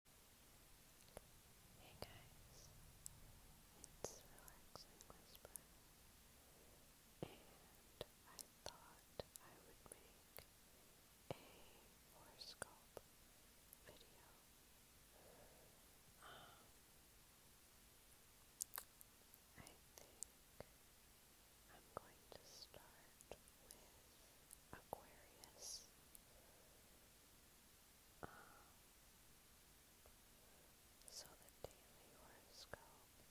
Hey guys, it's Relaxing Whisper, and I thought I would make a horoscope video. Um, I think I'm going to start with Aquarius. Um, so the daily horoscope is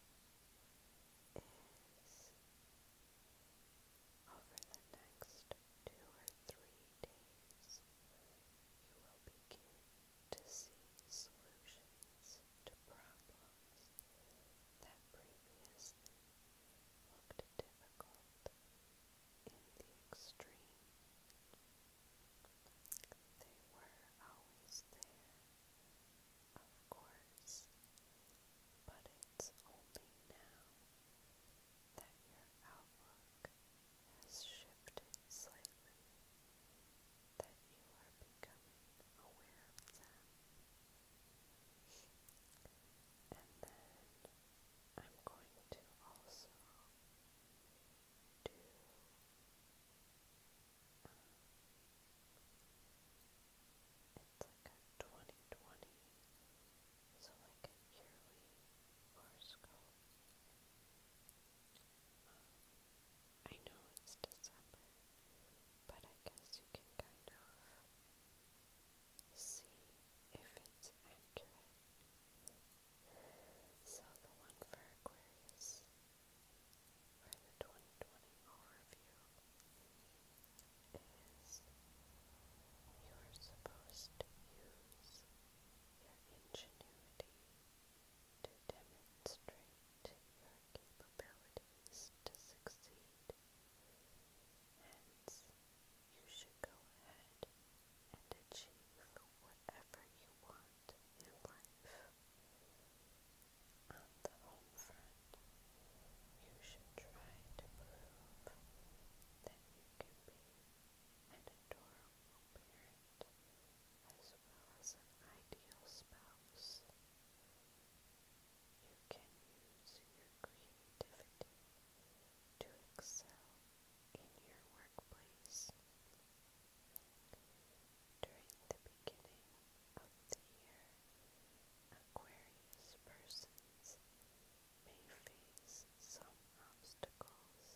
over the next two or three days, you will begin to see solutions to problems that previously looked difficult in the extreme. They were always there, of course, but it's only now that your outlook has shifted slightly that you are becoming aware of them. I'm going to also do um, it's like a 2020 so like a yearly horoscope um, I know it's December but I guess you can kind of see if it's accurate. So the one for Aquarius for the 2020 overview is you're supposed to use your ingenuity to demonstrate your capabilities to succeed. Hence, you should go ahead and achieve whatever you want in life. On the home front, you should try to prove that you can be an adorable parent as well as an ideal spouse. You can use your creativity to excel in your workplace. During the beginning of the year, Aquarius persons may face some obstacles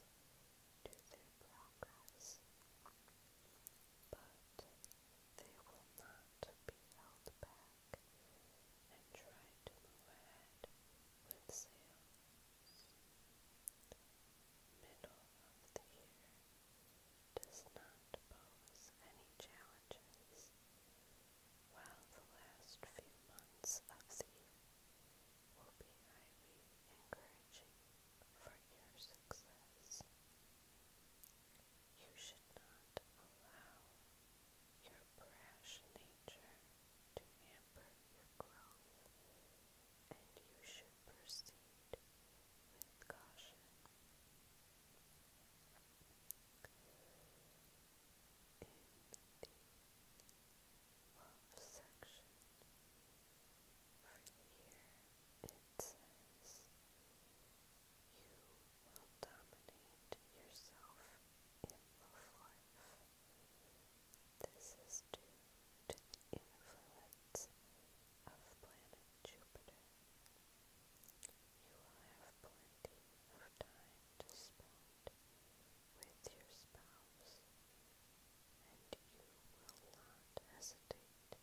to their progress, but they will not be held back and try to move ahead with zeal middle of the year does not pose any challenges, while the last few months of the year will be highly encouraging for your success. You should not allow your brash nature to hamper your and you should proceed with caution. In the love section, here it says, you will dominate yourself in love life. This is due to the influence of planet Jupiter. You will have plenty of time to spend with your spouse, and you will not hesitate to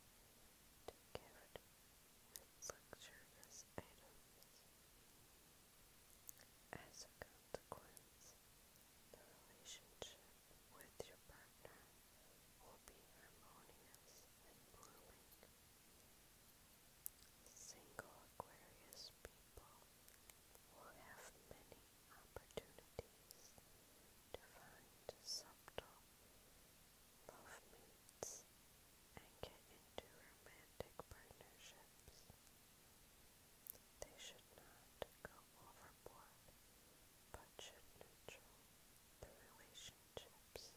give it with luxurious items. As a consequence, the relationship with your partner will be harmonious and blooming. Single Aquarius people will have many opportunities to find subtle love mates and get into romantic partnerships. They should not go overboard, but should neutral the relationships,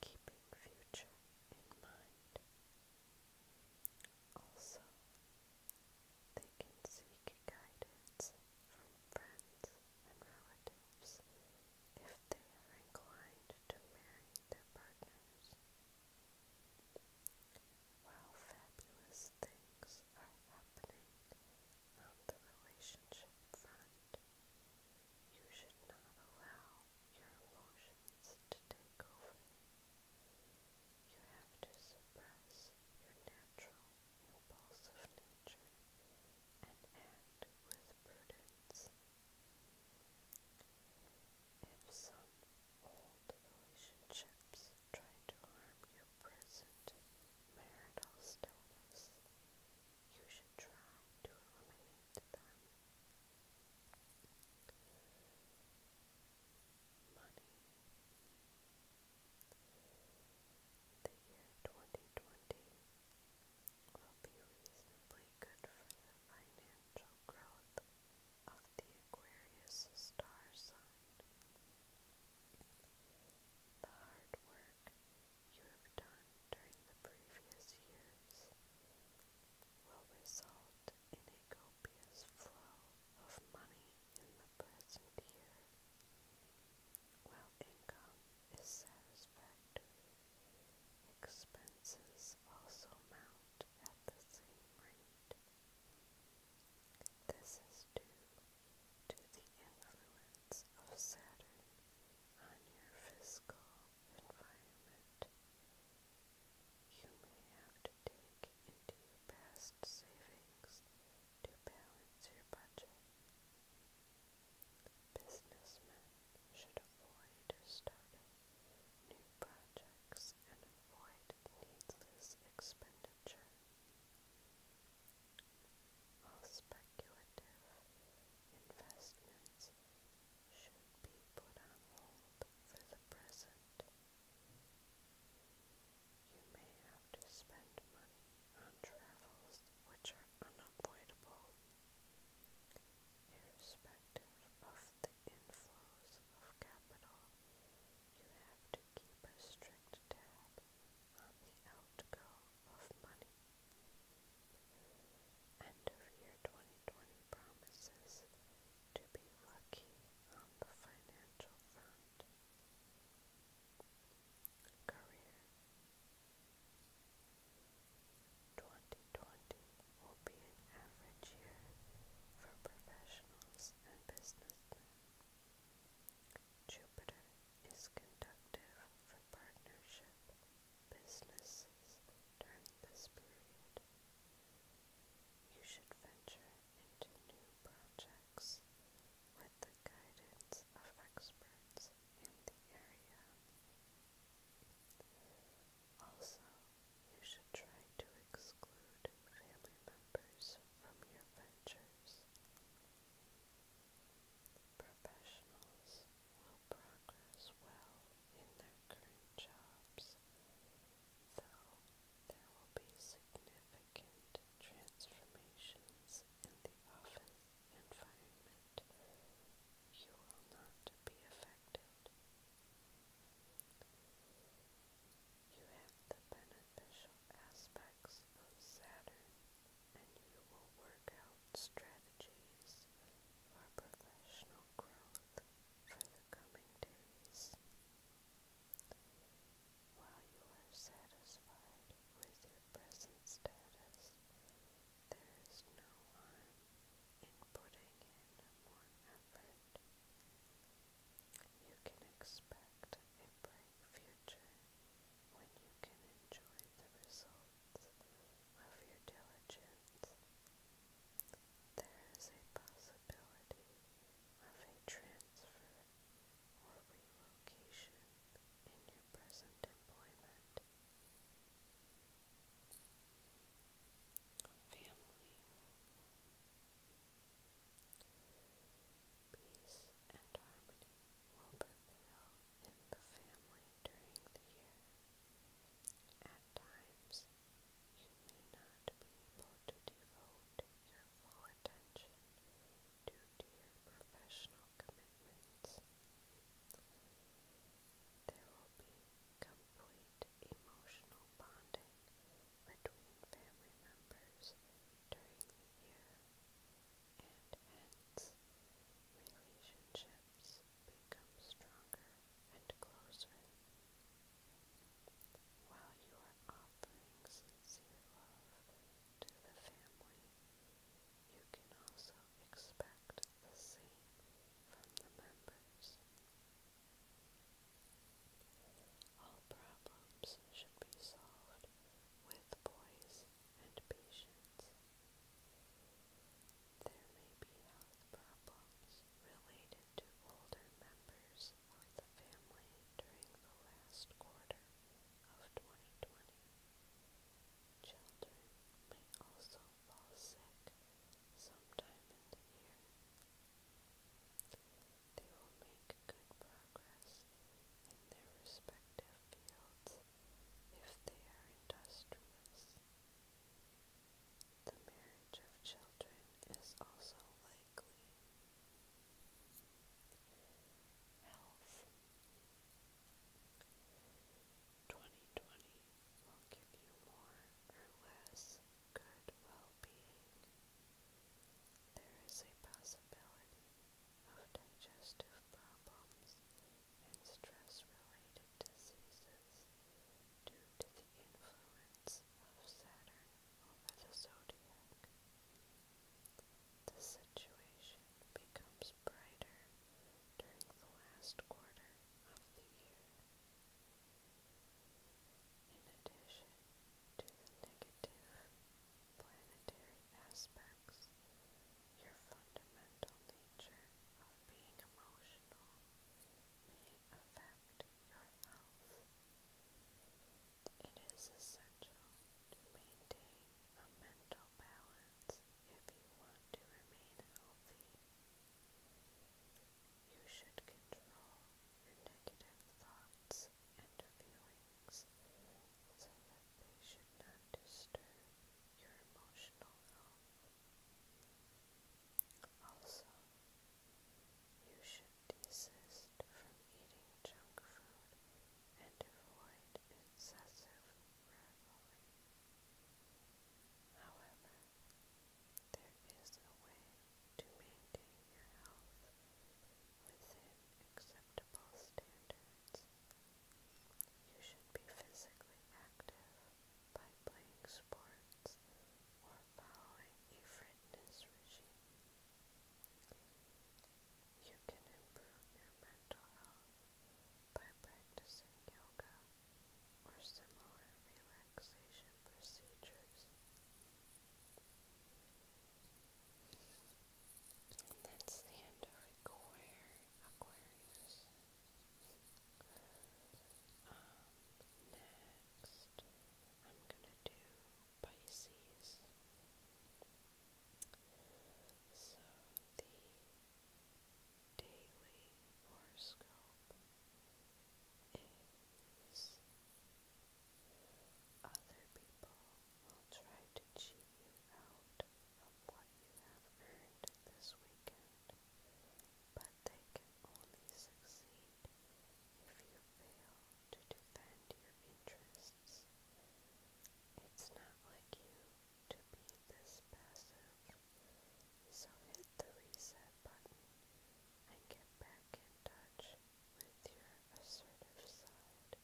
keeping future in mind. Also, they can seek guidance from friends and relatives if they are inclined to marry their partners. While fabulous things are happening on the relationship front, you should not allow your emotions to take over. You have to suppress your natural impulsive nature and act with prudence. If old relationships try to harm your present marital status. You should try to eliminate them. Money. The year 2020 will be reasonably good for financial growth the Aquarius star sign. The hard work you have done during the previous years will result in a copious flow of money in the present year, while income is satisfactory. Expenses also mount at the same rate. This is due to the influence of Saturn on your physical environment. You may have to dig into past savings to balance your budget. Businessmen should avoid starting new projects costs and avoid needless expenditure. All speculative investments should be put on hold for the present. You may have to spend money on travels which are unavoidable, irrespective of the inflows of capital you have to keep a strict tab on the outgo of money. End of year 2020 promises to be lucky on the financial front. Career 2020 will be an average year for professionals and business Jupiter is conductive for partnership businesses You should venture into new projects with the guidance of experts in the area. Also, you should try to exclude family members from your ventures. Professionals will progress well in their current jobs, though there will be significant transformations in the office environment. You will not be affected. You have the beneficial aspects of Saturn, and you will work out strategies for professional growth for the coming days. While you are satisfied with your present status, there is no harm in putting in more you can expect a bright future when you can enjoy the results of your diligence. There is a possibility of a transfer or relocation in your present employment. Family. Peace and harmony will prevail in the family during the year. At times, you may not be able to devote your full attention due to your professional commitments. There will be complete emotional bonding between family members during the year, and hence relationships become stronger and closer. While you are offering sincere love to the family, you can also expect the same from the members. All problems should be solved with poise and patience. There may be health problems related to older members of the family during the last quarter of 2020. Children may also fall sick sometime in the year. They will make good progress in their respective fields if they are industrious. The marriage of children is also likely. Health 2020 will give you more or less good well-being. There is a possibility of digestive problems and stress-related diseases due to the influence of Saturn over the zodiac. The situation becomes brighter during the last quarter of the year. In addition to the negative planetary aspects, your fundamental nature of being emotional may affect your health. It is essential to maintain a mental balance if you want to remain healthy. You should control your negative thoughts and so that they should not disturb your emotional health. Also, you should desist from eating junk food and avoid excessive revelry. However, there is a way to maintain your health within acceptable standards. You should be physically active by playing sports or following a fitness regime. You can improve your mental health by practicing yoga or similar relaxation procedures. And that's the end of Aquarius. Um, next, I'm gonna do Pisces. So, the daily horoscope is other people will try to cheat you out of what you have earned this weekend, but they can only succeed if you fail to defend your interests. It's not like you to be this passive, so hit the reset button and get back in touch with your assertive side.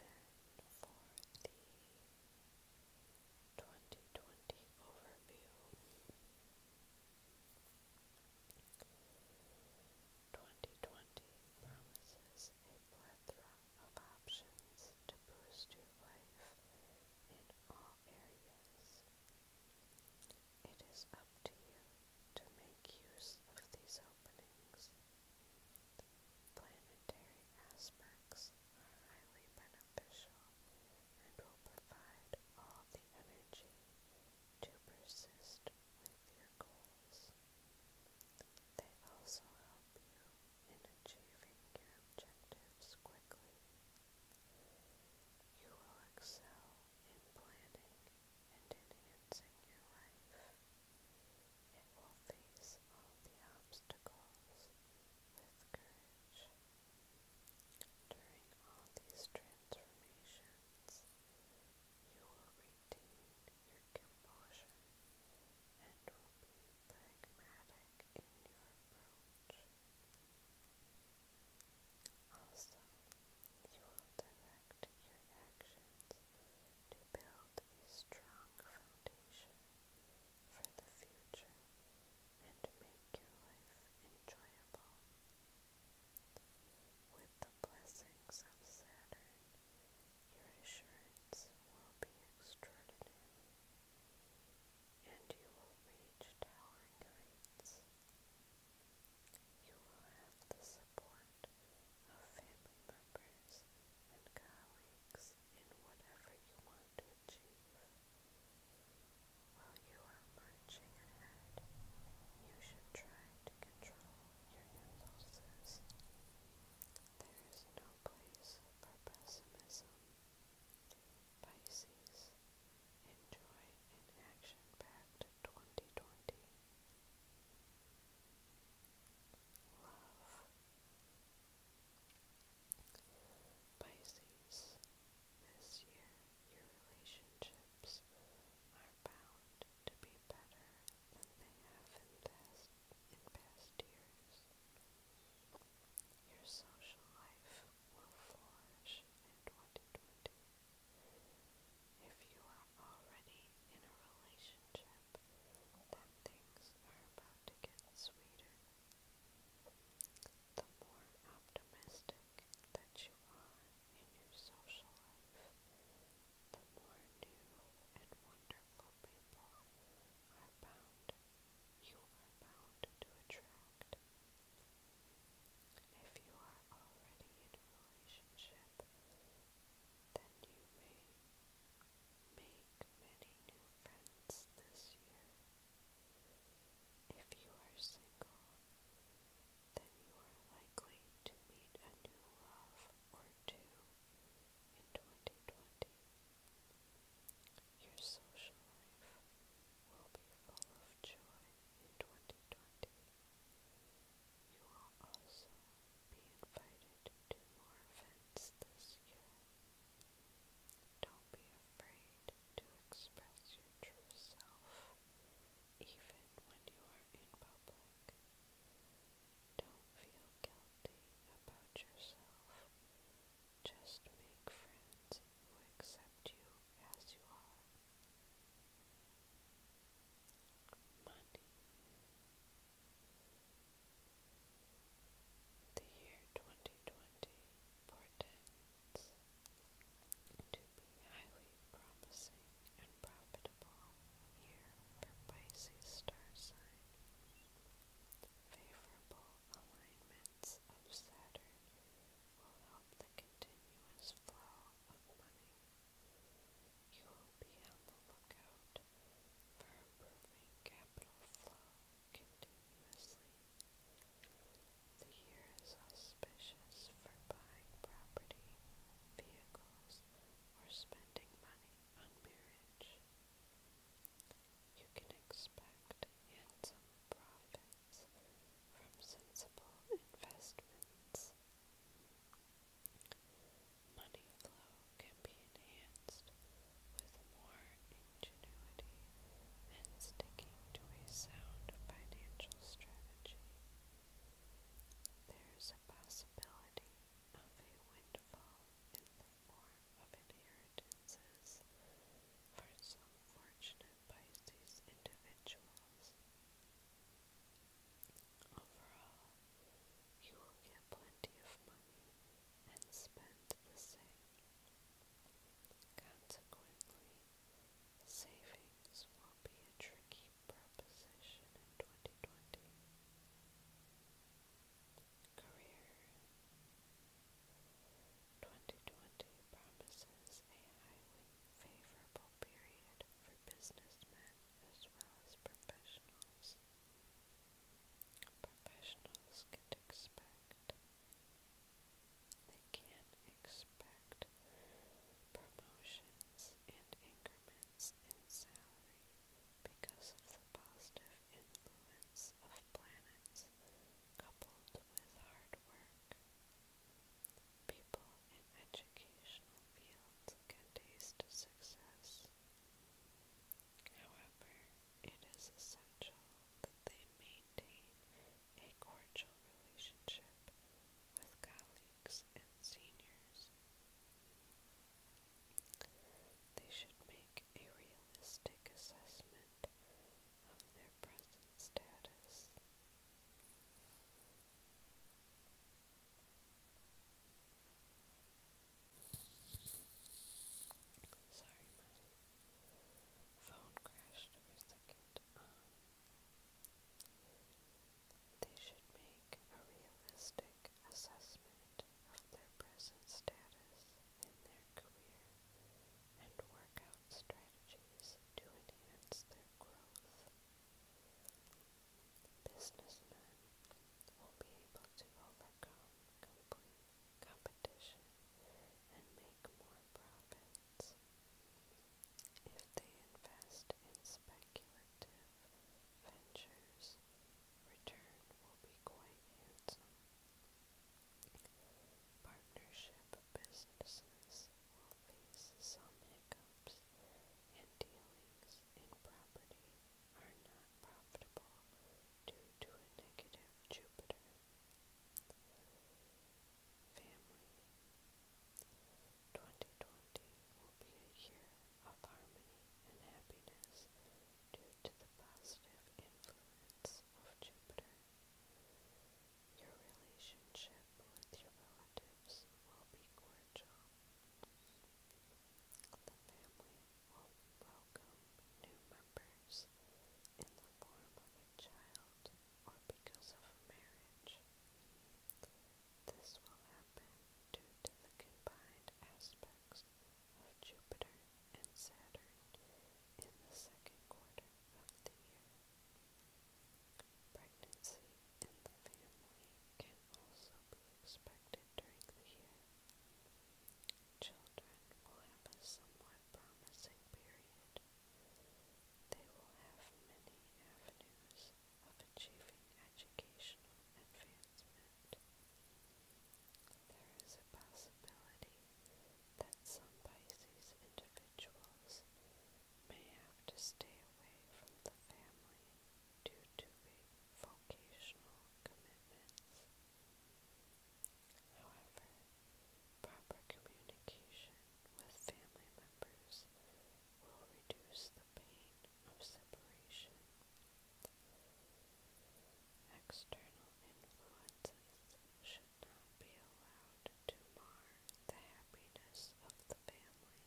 Then for the 2020 overview. 2020 promises a plethora of options to boost your life in all areas, it is up to you to make use of these openings. Planetary aspects are highly beneficial and will provide all the energy to persist with your goals. They also help you in achieving your objectives quickly you will excel in planning and enhancing your life. It will face all the obstacles with courage. During all these transformations, you will retain your composure and will be pragmatic in your approach. Also, you will direct your actions to build a strong foundation for the future and make your life enjoyable. With the blessings of Saturn, your assurance will be extraordinary and you will reach towering heights. You will have the support of family members and colleagues in whatever you want to achieve. While you are marching ahead, you should try to control your impulses. There is no place for pessimism. Pisces Enjoy an action-packed 2020. Love. Pisces, this year your relationships are bound to be better than they have in past, in past years. Your social life will flourish 2020. If you are already in a relationship, then things are about to get sweeter. The more optimistic that you are in your social life, the more new and wonderful people are bound you are bound to attract out. If you are already in a relationship, then you may make many new friends this year. If you are single, then you are likely to meet a new love or two in 2020. Your social life will be full of joy 2020. You will also be invited to more events this year. Don't be afraid to express your true self, even when you are in public. Don't feel guilty about yourself. Just make friends who accept you as you are. Money. The year 2020 portends to be highly promising and profitable year for Pisces star sign. Favorable alignments of Saturn will help stop the continuous flow of money. You will be on the lookout for improving capital flow continuously. The year is auspicious for buying property, vehicles, or spending money on marriage. You can expect handsome profits from sensible investments. Money flow can be enhanced with more ingenuity and sticking to a sound financial strategy. There is a possibility of a windfall in the form of inheritances for some fortunate by these individuals. Overall, you will get plenty of money and spend the same. Consequently, savings will be a tricky proposition in 2020. Career 2020 promises a highly favorable period for businessmen as well as professionals. Professionals can expect they can expect promotions and increments in salary because of the positive influence of planets coupled with hard work. People in educational fields can taste success. However, it is essential that they maintain a cordial relationship with colleagues and seniors. They should make a realistic assessment their present status. Sorry, my phone crashed for a second. they should make a realistic assessment of their present status in their career and work out strategies to enhance their growth. Businessmen will be able to overcome complete competition and make more profits if they invest in speculative ventures. Return will be quite handsome. Partnership businesses face some hiccups and dealings in property are not profitable due to a negative Jupiter. Family 2020 will be a year of harmony and happiness due to the positive influence of Jupiter. Your relationship with your relatives will be cordial. The family will welcome new members in the form of a child or because of a marriage. This will happen due to the combined aspects of Jupiter and Saturn in the second quarter of the year. Pregnancy in the family can also be expected during the year. Children will have a somewhat promising period. They will have many avenues of achieving educational advancement. There is a possibility that some Pisces individuals individuals may have to stay away from the family due to vocational commitments. However, proper communication with family members will reduce the pain of separation. External influences not be allowed to mar the happiness of the family.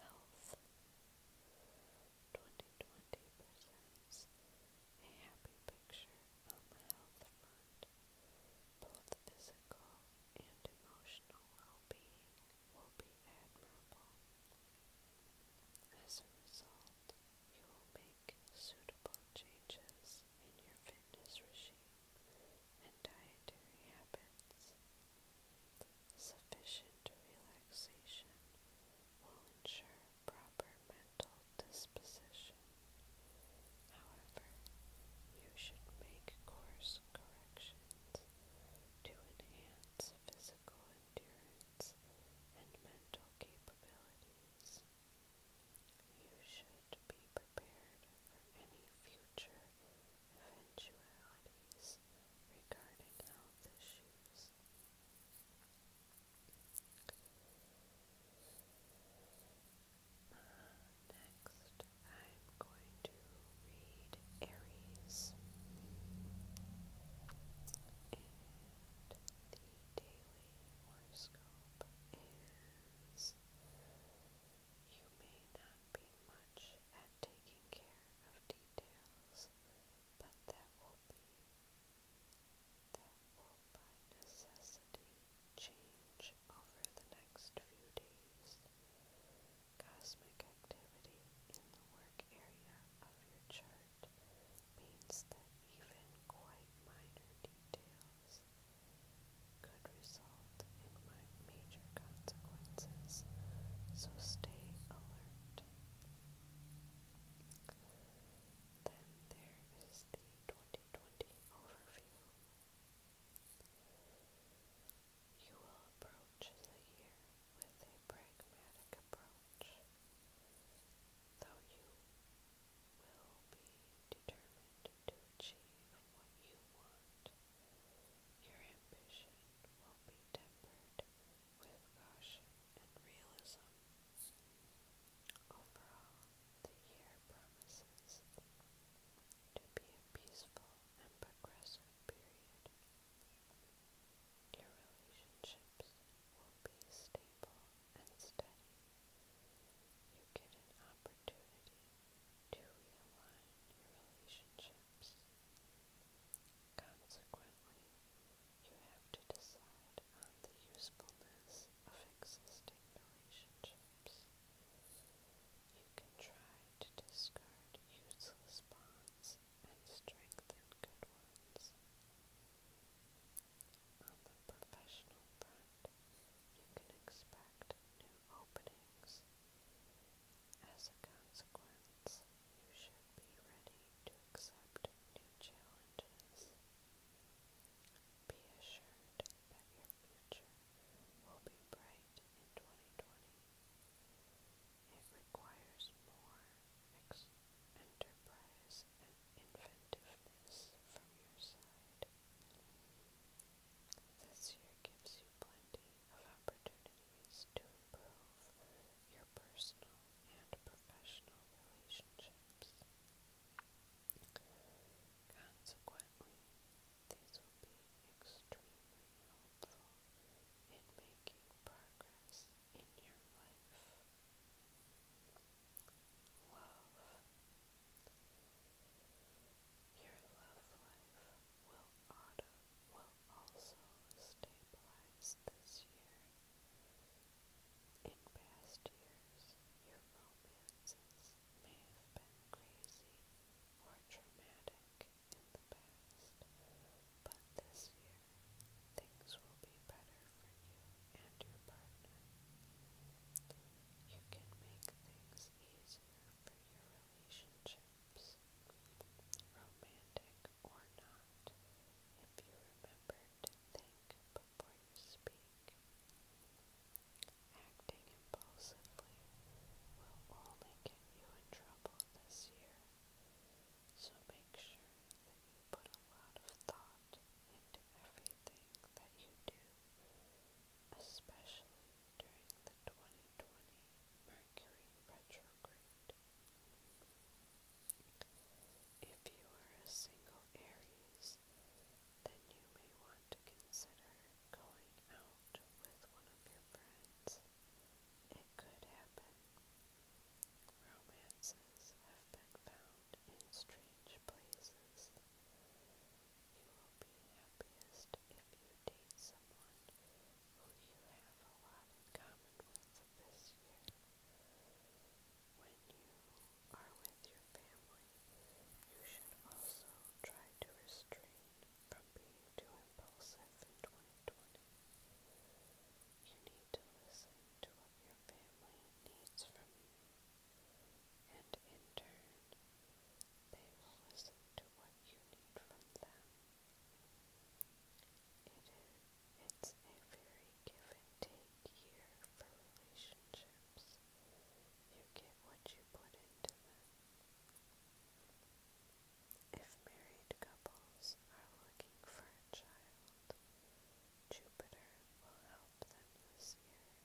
Health 2020 presents a happy picture on the health Both physical and emotional will be admirable. As a result, you will make suitable changes in your fitness regime and dietary habits. Sufficient relaxation will ensure proper mental disposition. However, you should make course corrections to enhance physical endurance and mental capabilities. You should be prepared for any future eventualities regarding health issues. next, I'm going to read Aries and the daily horoscope is you may not be much at taking care of details, but that will be that will by necessity change over the next few days. Cosmic activity in the work area of your chart means that even quite minor details could result in major consequences, so stay alert. Then there is the 2020 overview. You will approach the year with a pragmatic approach, though you will be determined to achieve what you want. Your ambition will be tempered with caution and realism. Overall, the year promises to be a peaceful and progressive period. Your relationships will be stable and study, you get an opportunity to realign your relationships. Consequently, you have to decide on the usefulness of existing relationships. You can try to discard useless bonds and strengthen good ones. On the professional front, you can expect new openings. As a consequence, you should be ready to accept new challenges. Be assured that your future will be bright in 2020. It requires more ex enterprise and inventiveness from your side. This year gives you plenty of opportunities to improve your personal and professional relationships. Consequently, these will be extremely helpful in making progress in your life love. Your love life will auto will also stabilize this year. In past years, your romances may have been crazy or traumatic in the past, but this year things will be better for you and your partner. You can make things easier for your relationships, romantic or not, if you remember to think before you speak. Acting impulsively will only get you in trouble this year, so make sure that you put a lot of thought into everything that you do especially during the 2020 Mercury retrograde. If you are a single Aries, then you may want to consider going out with one of your friends. It could happen. Romances have been found in strange places. You will be happiest if you date someone who you have a lot in common with this year. When you are with your family, you should also try to restrain from being too impulsive in 2020. You need to listen to what your family needs from you and in turn, they will listen to what you need from them. It is, it's a very give and take year for relationships. You get what you put into them. If married couples are looking for a child, Jupiter will help them this year.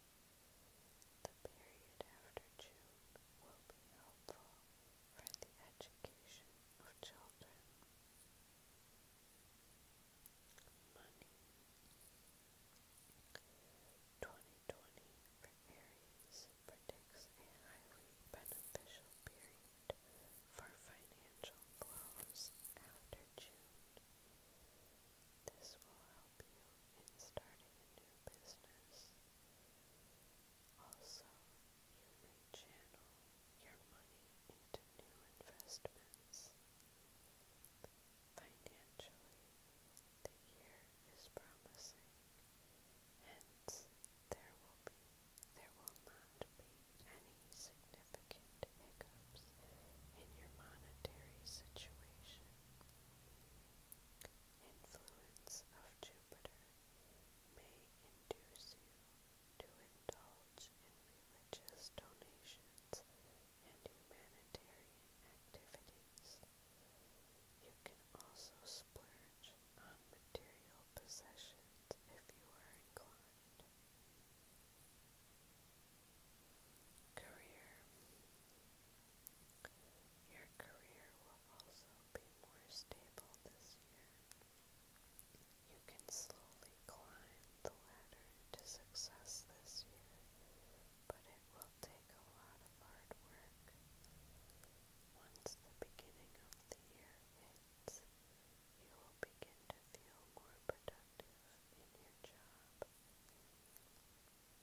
The period after June will be helpful for the education of children. Money 2020 for Aries predicts a highly beneficial period for financial flows after June. This will help you in starting a new business. Also, you may channel your money into new investments. Financially, the year is promising. Hence, there will be there will not be any significant hiccups in your monetary situation influence of Jupiter may induce you to indulge in religious donations and humanitarian activities. You can also splurge on material possessions if you are inclined. Career. Your career will also be more stable this year. You can slowly climb the ladder to success this year, but it will take a lot of hard work. Once the beginning of the year hits, you will begin to feel more productive in your job.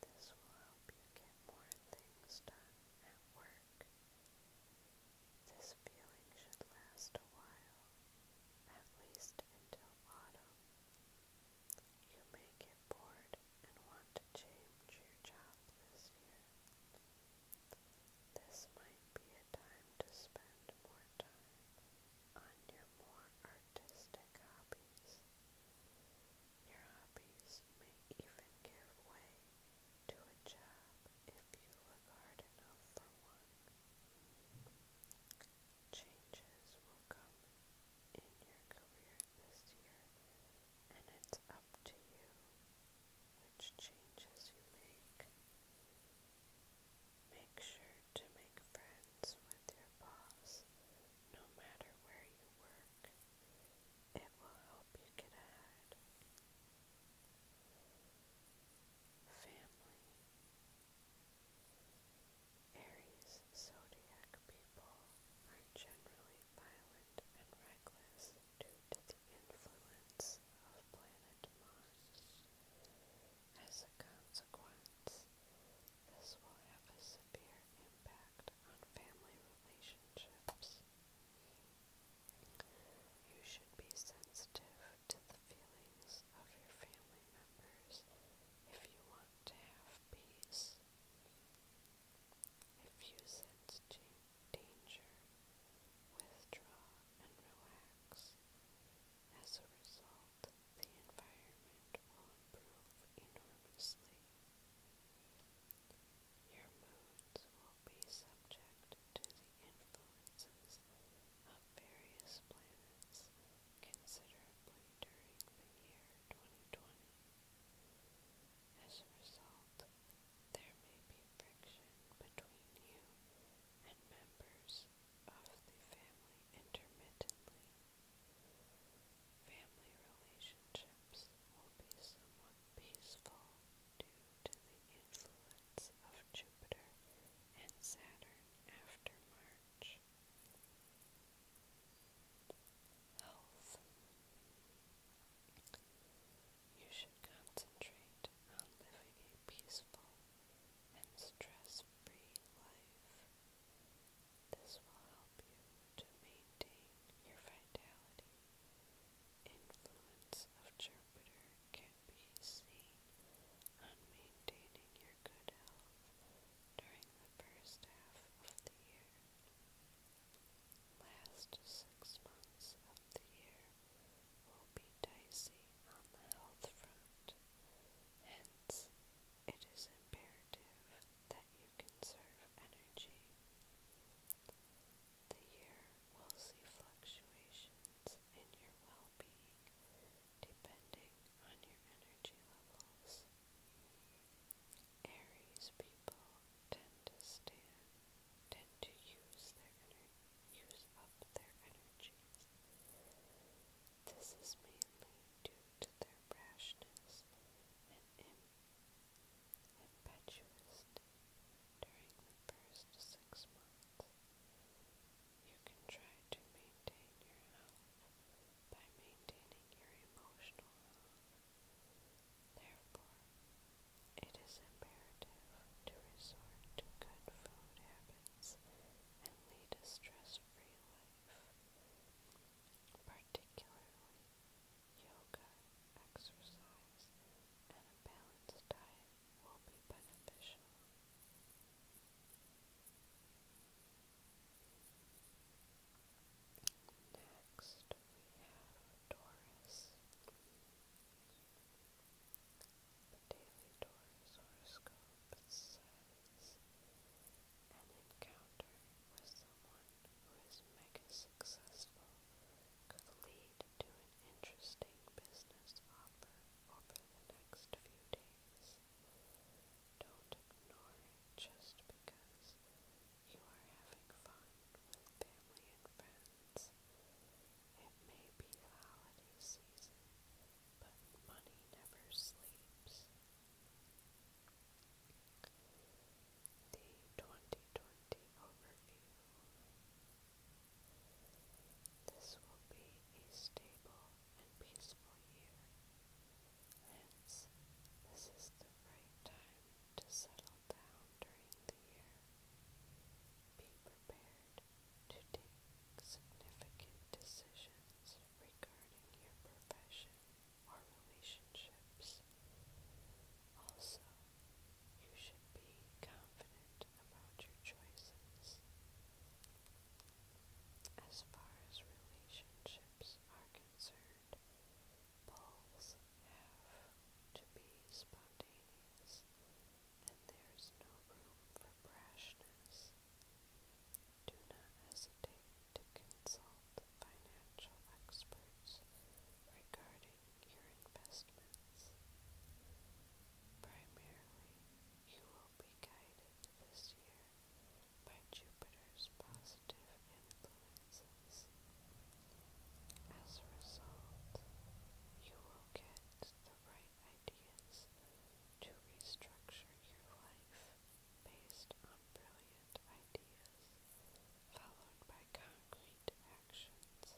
This will help you get more things done at work. This feeling should last a while, at least until autumn. You may get bored and want to change your job this year. This might be a time to spend more time on your more artistic hobbies. Your hobbies may even give way to a job if you look hard enough for one. Changes will come in your career this year, and it's up to you which changes you make. Make sure to make friends with your boss no matter where you work, it will help you get ahead. Family. Aries zodiac people are generally violent and reckless due to the influence of planet Mars. As a consequence, this will have a severe impact on family relationships. You should be sensitive to the feelings of your family members if you want to have peace. If you sense danger, withdraw and relax. As a result, the environment will improve enormously. Your moods will be subject to the influences of various planets considerably during the year 2020. As a result, there may be friction between you and members of the family intermittently. Family relationships will be somewhat peaceful due to the influence of Jupiter and Saturn after March. Health. You should concentrate on living a peaceful and stress free life. This will help you to maintain your vitality. Influence of Jupiter can be seen on maintaining your good health during the first half of the year. Last six months of the year will be dicey on health front. Hence, it is imperative you conserve energy. The year will see fluctuations in your well being depending on your energy levels. Aries people tend to use up their energies. This is mainly due to their rashness im impetuous during the first six months. You can try to maintain your health by maintaining your emotional health. Therefore, it is imperative to resort to good food habits and lead a stress free life particularly yoga, exercise, and a balanced diet will be beneficial. Next, we have Taurus. The Daily Taurus horoscope says an encounter with someone who is mega successful could lead to an interesting business offer over the next few days. Don't ignore it just because you are having fun with family and friends. It may be the holiday season, but money never sleeps. The 2020 overview. This will be a stable and peaceful year. Hence, this is the right time to settle down during the year. Be prepared to take significant decisions regarding your profession or relationships. Also, you should be confident about your choices. As far as relationships are concerned, bulls have to be spontaneous, and there's no room for brashness. Do not hesitate to consult financial experts regarding your investments. Primarily, you will be guided this year by Jupiter's positive influences. As a result, you will get the right ideas to restructure your life based on brilliant ideas followed by concrete actions.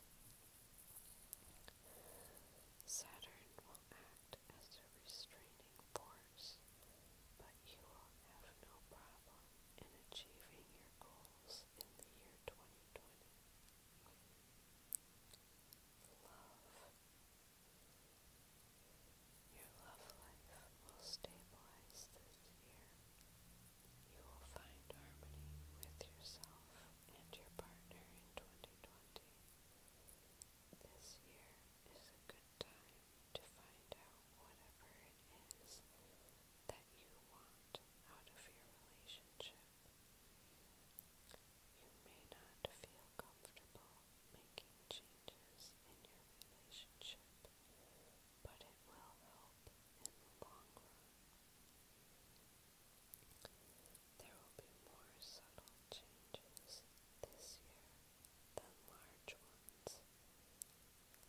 Saturn will act as a restraining force, but you will have no problem in achieving your goals in the year 2020. Love. Your love life will stabilize this year. You will find harmony with yourself and your partner in 2020. This year is a good time to find out whatever it is that you want out of your relationship. You may not feel comfortable making changes in your relationship but it will help in the long run. There will be more subtle changes this year than large ones.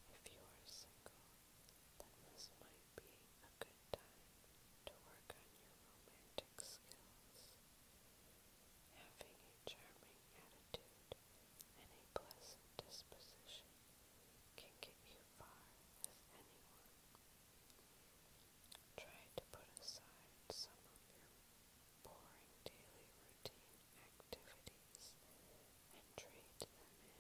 If you are single, then this might be a good time to work on your romantic skills. Having a charming attitude and pleasant disposition can get you far with anyone. Try to put aside some of your boring daily routine activities and trade them in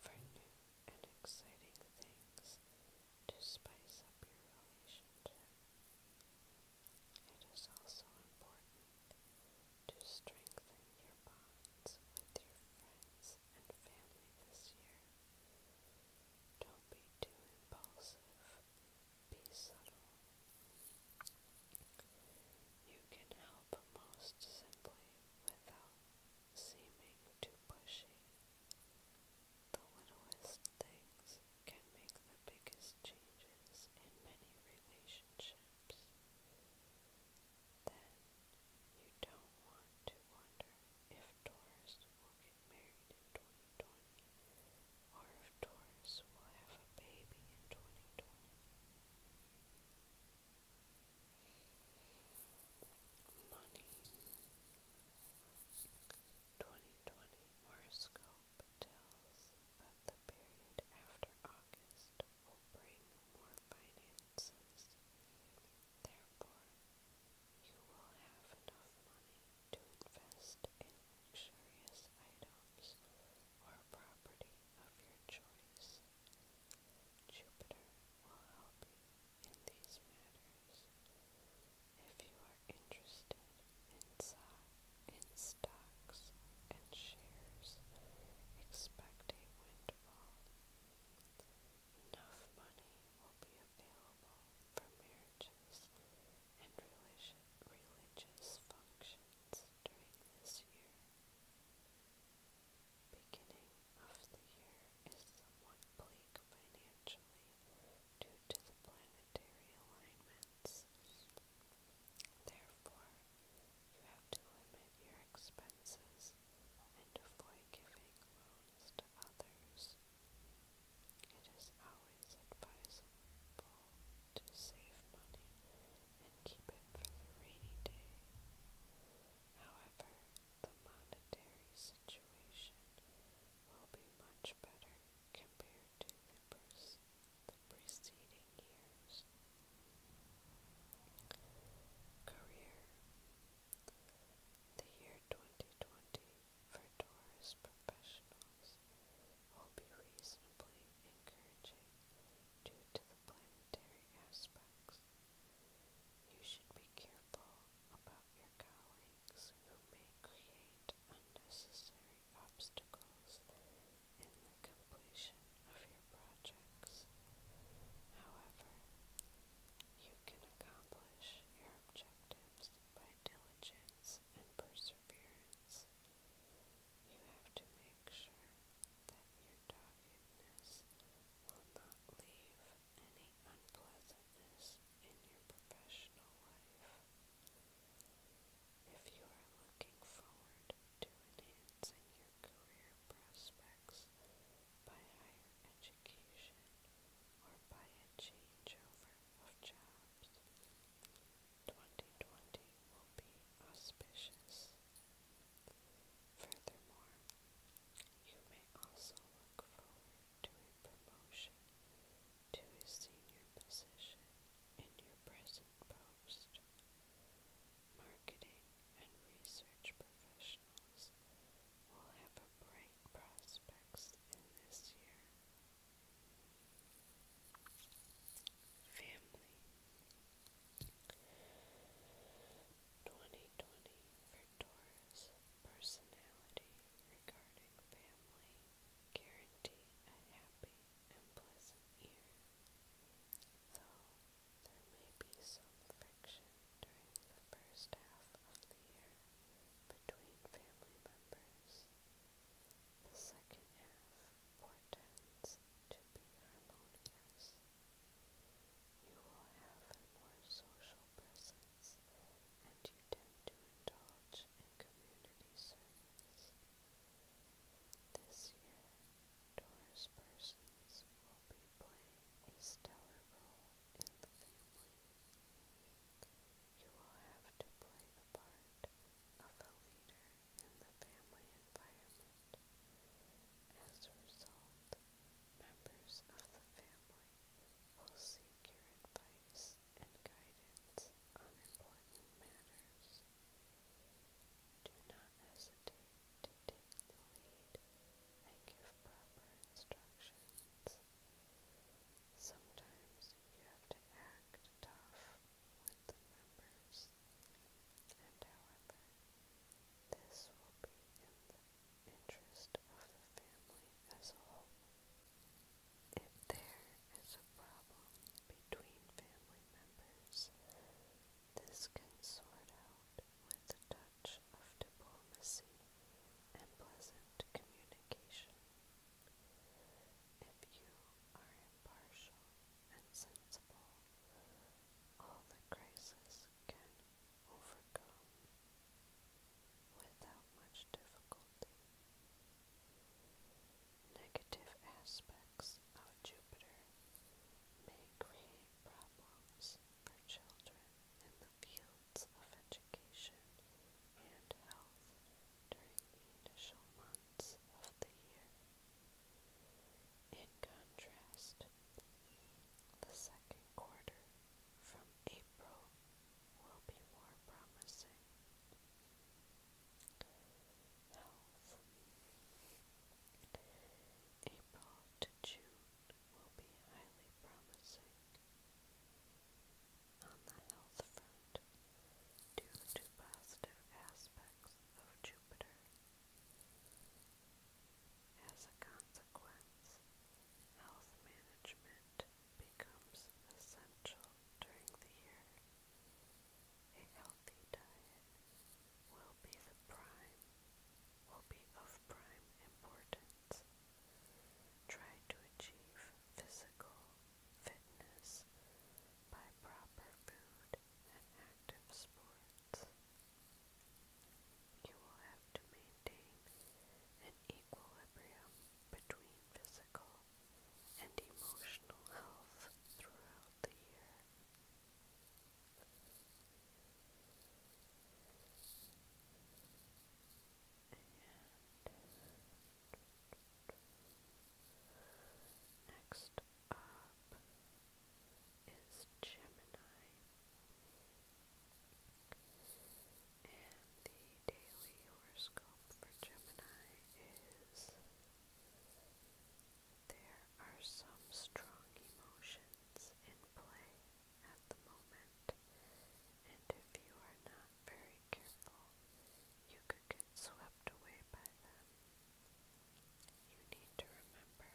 for new and exciting things to spice up your relationship. It is also important to strengthen your bonds with your friends and family this year. Don't be too impulsive. Be subtle. You can help most simply without seeming too pushy. The littlest things can make the biggest changes in many relationships. Then you don't want to wonder if Taurus will get married in 2020 or if Taurus will have a baby in 2020. Money 2020 horoscope tells that the period after August will bring more finances. Therefore, you will have enough money to invest in luxurious items or property of your choice. Jupiter will help you in these matters. If you are interested in Psi, in stocks and shares, expect a windfall. Enough money will be available for marriages and religious functions during this year. Beginning of the year is somewhat bleak financially due to the planetary alignments Therefore, you have to limit your expenses and avoid giving loans to others. It is always advisable to save money and keep it for the rainy day. However, the monetary situation will be much better compared to the person the preceding years. Career The year 2020 for Taurus professionals will be reasonably encouraging due to the planetary aspects. You should be careful about your colleagues who may create unnecessary obstacles in the completion of your projects. However, you can accomplish your objectives by diligence and perseverance. You have to make sure that your doggedness will not leave any unpleasantness in your professional life. If you are looking forward to enhancing your career prospects by higher education or by a changeover of jobs, 2020 will be auspicious. Furthermore, you may also look forward to a promotion to a senior position in your present Post, marketing and research professionals will have a bright prospects in this year. Family 2020 for Taurus personality regarding family guarantee a happy and pleasant year. Though there may be some friction during the first half of the year between family members. The second half portends to be harmonious. You will have more social presence and you tend to indulge in community service. This year, Taurus persons will be playing a stellar role in the family. You will have to play the part of a leader in the family environment. As a result, members of the family will seek your advice and guidance on important matters. Do not hesitate to take the lead and give proper instructions. Sometimes you have to act tough with the members, and however, this will be in the interest of the family as a whole. If there is a problem between family members, this can sort out with a touch of diplomacy and pleasant communication. If you are impartial and sensible, all the crises can overcome without much difficulty. Negative aspects. Jupiter may create problems for children in the fields of education and health during the initial months of the year. In contrast, the second quarter from April will be more promising health. April to June will be highly promising on the health front due to positive aspects of Jupiter. As a consequence, health management becomes essential during the year a healthy diet will be the prime, will be of prime importance. Try to achieve physical fitness by proper food and active sports. You will have to maintain an equilibrium between physical and emotional health throughout the year next up is Gemini and the daily horoscope for Gemini is there are some strong emotions in play at the moment, and if you are not very careful, you could get swept away by them. You need to remember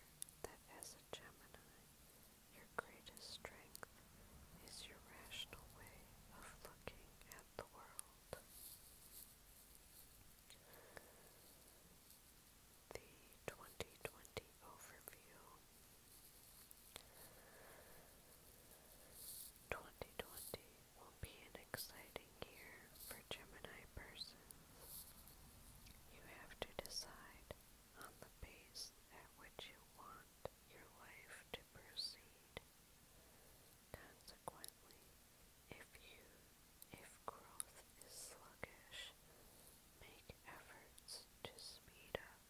that as a Gemini, your greatest strength is your rational way of looking at the world the 2020 overview. 2020 will be an exciting year for Gemini persons. You have to decide on the pace at which you want your life to proceed. Consequently, if you, if growth is sluggish, make efforts to speed up.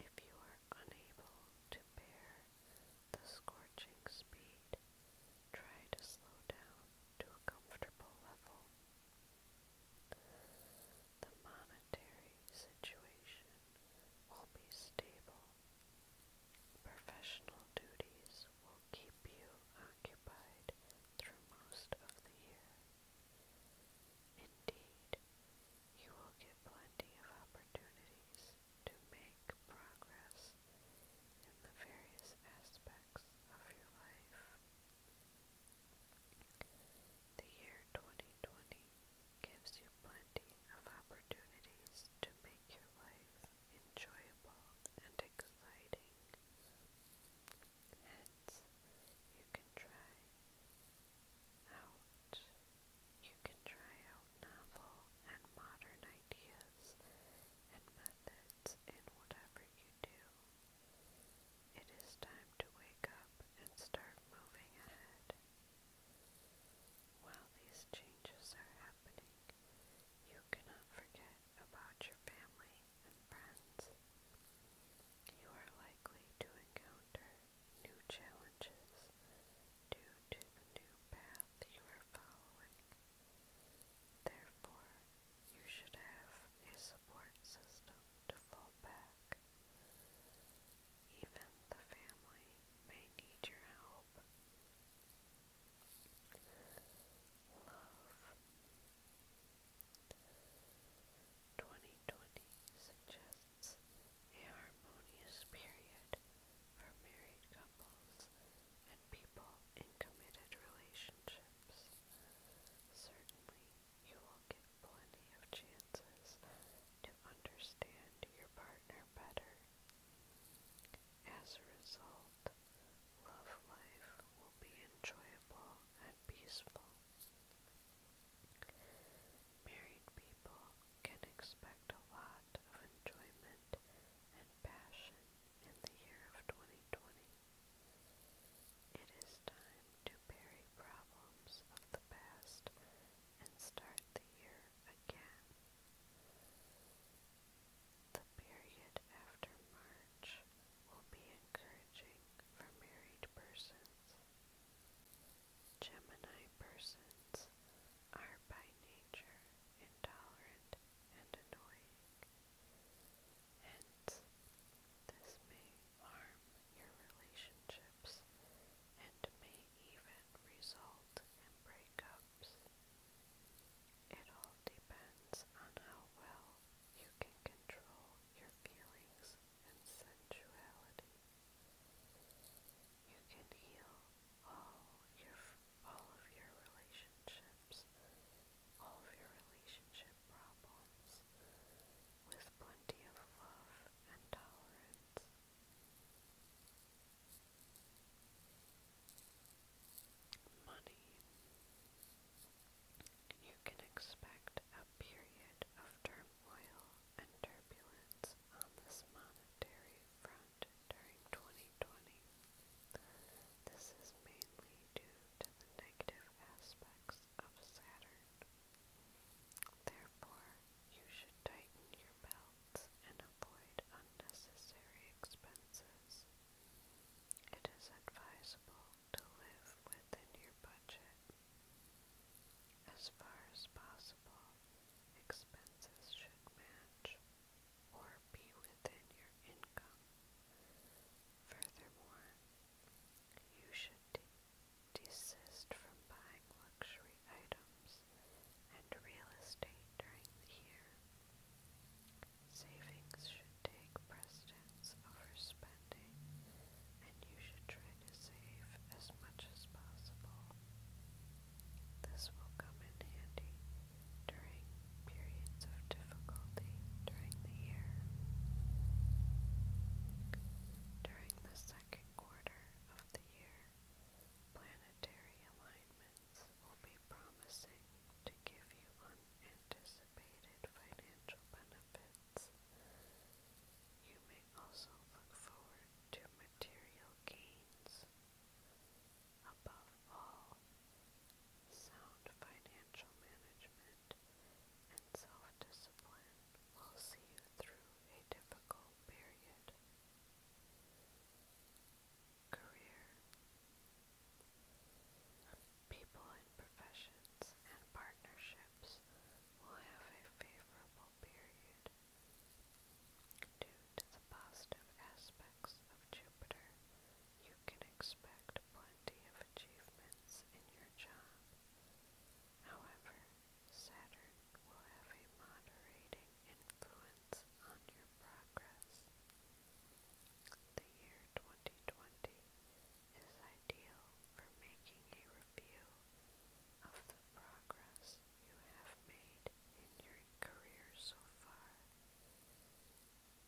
If you are unable to bear the scorching speed, try to slow down to a comfortable level. The monetary situation will be stable. Professional duties will keep you occupied through most of the year. Indeed, you will get plenty of opportunities to make progress in the various aspects of your life. The year 2020 gives you plenty of opportunities to make your life enjoyable and by colliding. you can try out. You can try out novel and modern ideas and methods in whatever you do. It is time to wake up and start moving ahead. While these changes are happening, you cannot forget about your family and friends. You are likely to encounter new challenges due to the new path you are following. Therefore, you should have a support system to fall back. Even the family may need your help. Love 2020 suggests a harmonious period for married couples and people in committed relationships. Certainly, you will get plenty of chances to understand your partner better. As a result, world, love life will be enjoyable and peaceful. Married people can expect a lot of enjoyment and passion in the year of 2020. It is time to bury problems of the past and start the year again. The period after March will be encouraging for married persons. Gemini persons are by nature intolerant and annoying. Hence, this may harm your relationships and may even result in breakups. It all depends on how well you can control your feelings and sensuality. You can heal all your all of your relationships, all of your relationship problems with plenty of love and tolerance money, you can expect a period of turmoil and turbulence on this monetary front during 2020. This is mainly due to the negative aspects of Saturn. Therefore, you should tighten your belts and avoid unnecessary expenses. It is advisable to live within your budget. As far as possible, expenses should match or be within your income. Furthermore, you should de desist from buying luxury items and real estate during the year. Savings should take precedence over spending, and you should try to save as much as possible. This will come in handy during periods of difficulty during the year. During the second quarter of the year, planetary alignment will be promising to give you unanticipated financial benefits. You may also look forward to material gains. Above all, sound financial management and self-discipline will see you through a difficult period career people in professions and partnerships will have a favorable period due to the positive aspects of Jupiter you can expect plenty of achievements in your job however Saturn will have a moderating influence on your progress. The year 2020 is ideal for making a review of the progress you have made in your career so far.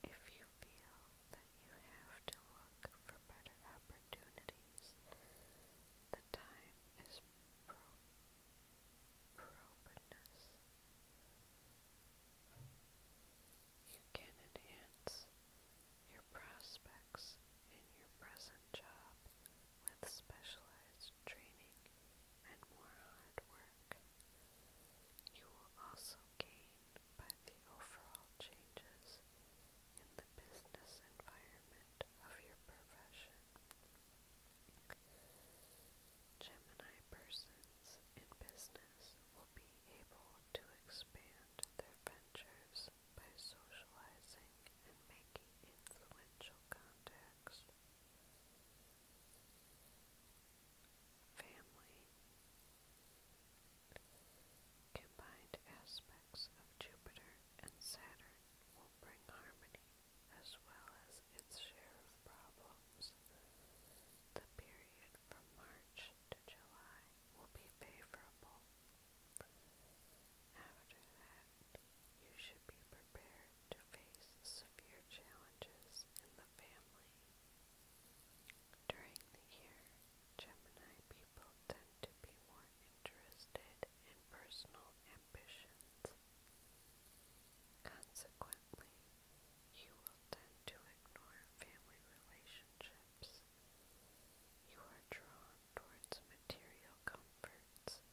If you feel that you have to look for better opportunities, the time is pro you can enhance your prospects in your present job with specialized training and more hard work. You will also gain by the overall changes in the business environment of your profession. Gemini persons in business will be able to expand their ventures by socializing and making influential contacts. Family. Combined aspects of Jupiter and Saturn will bring harmony as well as its share of problems. The period from March to July will be favorable. After that, you should be prepared to face severe challenges in the family. During the year, Gemini people tend to be more interested in personal ambitions. Consequently, you will tend to ignore family relationships. You are drawn towards material comforts,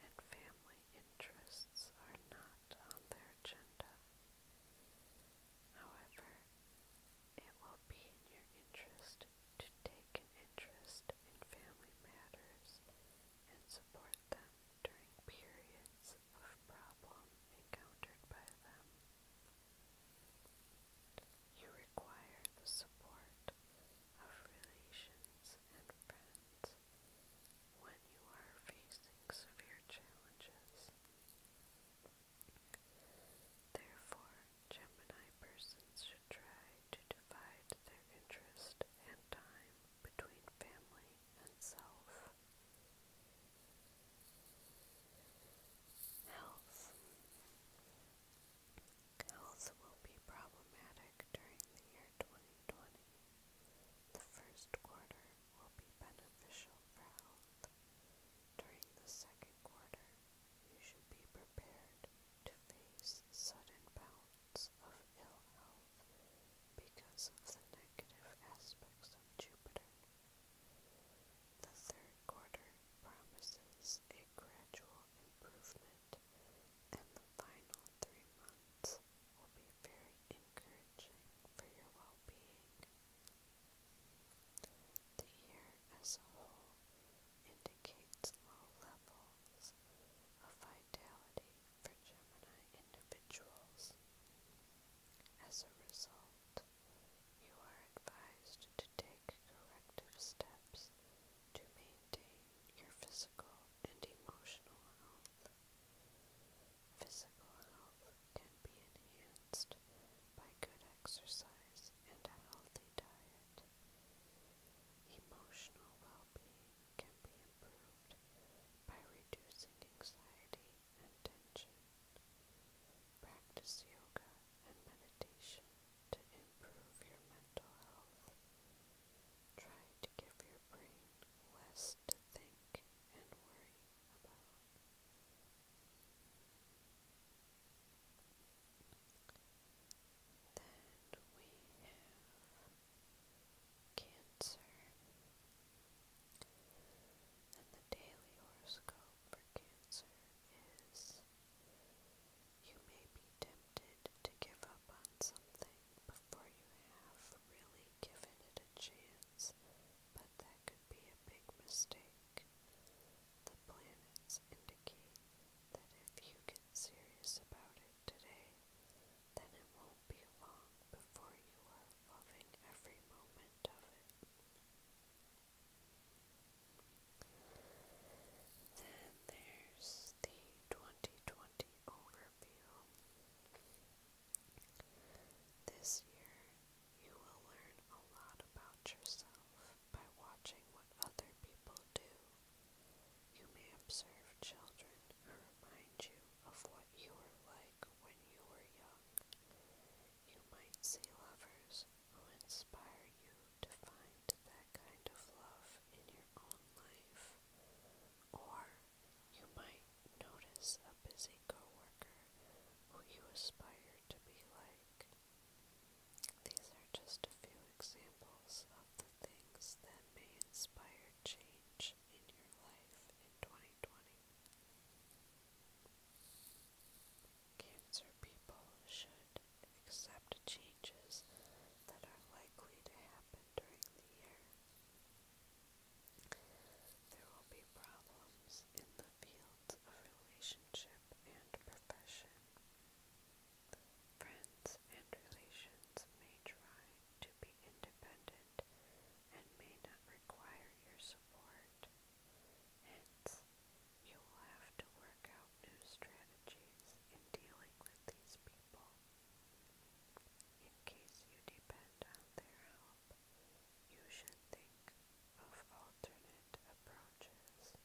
and family interests are not on their agenda. However, it will be in your interest to take an interest in family matters and support them during periods of problem encountered by them. You require the support of relations and friends when you are facing severe challenges. Therefore, Gemini persons should try to divide their interest and time between family and self. Health. Health will be problematic during the year 2020. The first quarter will be beneficial for health. During the second quarter, you should be prepared to face sudden bouts of ill health because of the negative aspects of Jupiter the third quarter promises a gradual improvement, and the final three months will be very encouraging for your well being. The year as a whole indicates low levels of vitality for Gemini individuals. As a result, you are advised to take corrective steps to maintain your physical and emotional health. Physical health can be enhanced by good exercise and a healthy diet. Emotional well being can be improved by reducing anxiety and Practice yoga and meditation to improve your mental health. Try to give your brain less to think and worry about. Then we have cancer. And the daily horoscope for Cancer is you may be tempted to give up on something before you have really given it a chance, but that could be a big mistake. The planets indicate that if you get serious about it today, then it won't be long before you are loving every moment of it. Then there's the 2020 overview. This year, you will learn a lot about yourself by watching what other people do. You may observe children who remind you of what you were like when you were young. You might see lovers who inspire you to find that kind of love in your own life. Or you might notice a busy coworker who you aspire to be like. These are just a few examples of the things that may inspire change in your life in 2020. Cancer people should accept changes that are likely to happen during the year. There will be problems in the fields of relationship and profession. Friends and relations may try to be independent and may not require your support. Hence, you will have to work out new strategies in dealing with these people. In case you depend on their help, you should think of alternate approaches.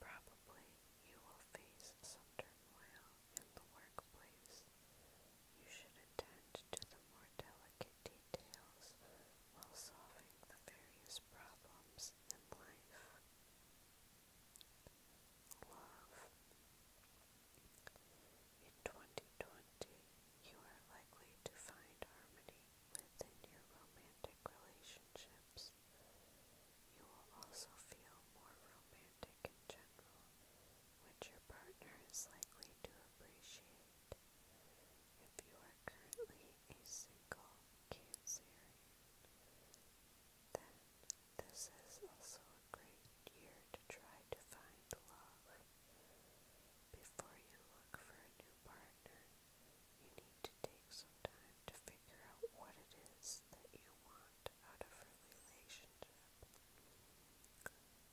Probably you will face some turmoil in the workplace you should attend to the more delicate details while solving the various problems in life. In 2020, you are likely to find harmony within your romantic relationships. You will also feel more romantic in general, which your partner is likely to appreciate. If you are currently a single Cancerian, then this is also a great year to try to find love. Before you look for a new partner, you need to take some time to figure out what it is that you want out of a relationship.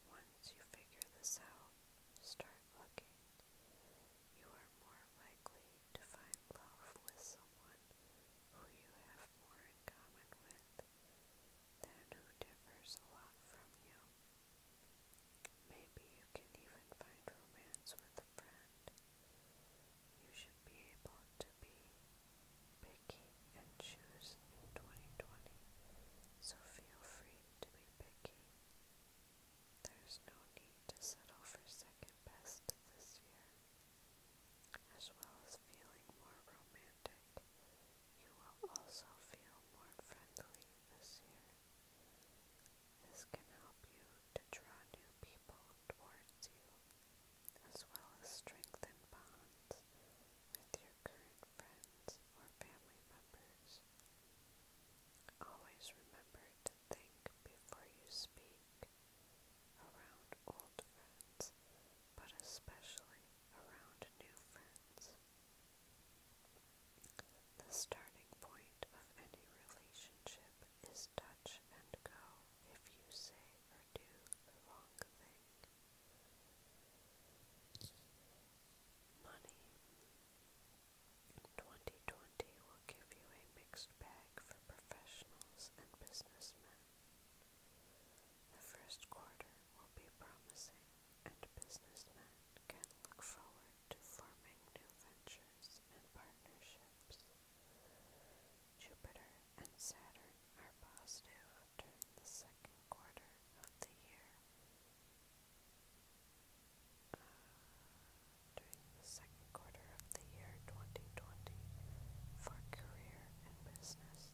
Once you figure this out, start looking, you are more likely to find love with someone who you have more in common with than who differs a lot from you. Maybe you can even find romance with a friend. You should be able to be picky and choose 2020, so feel free to be picky. There's no need to settle for second best this year. As well as feeling more romantic, you will also feel more friendly this year. This can help you to draw new people towards you, as well as strengthen bonds with your current friends or family members. Always remember to think before you speak around old friends, but especially around new friends. The starting point of any relationship is touch and go if you say or do the wrong thing. Money. 2020 will give you a mixed bag for professionals and businessmen. The first quarter will be promising, and businessmen can look forward to forming new ventures and partnerships. Jupiter and Saturn are positive during the second quarter of the year uh, during the second quarter of the year 2020 for career and business.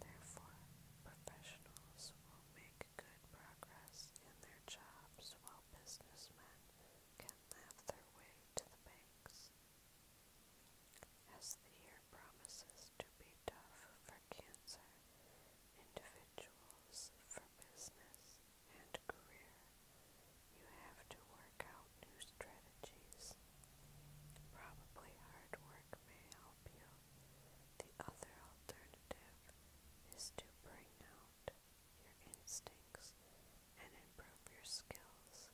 Therefore, professionals will make good progress in their jobs while businessmen can laugh their way to the banks. As the year promises to be tough for cancer, individuals, for business and career, you have to work out new strategies. Probably hard work may help you. The other alternative is to bring out your instincts and improve your skills,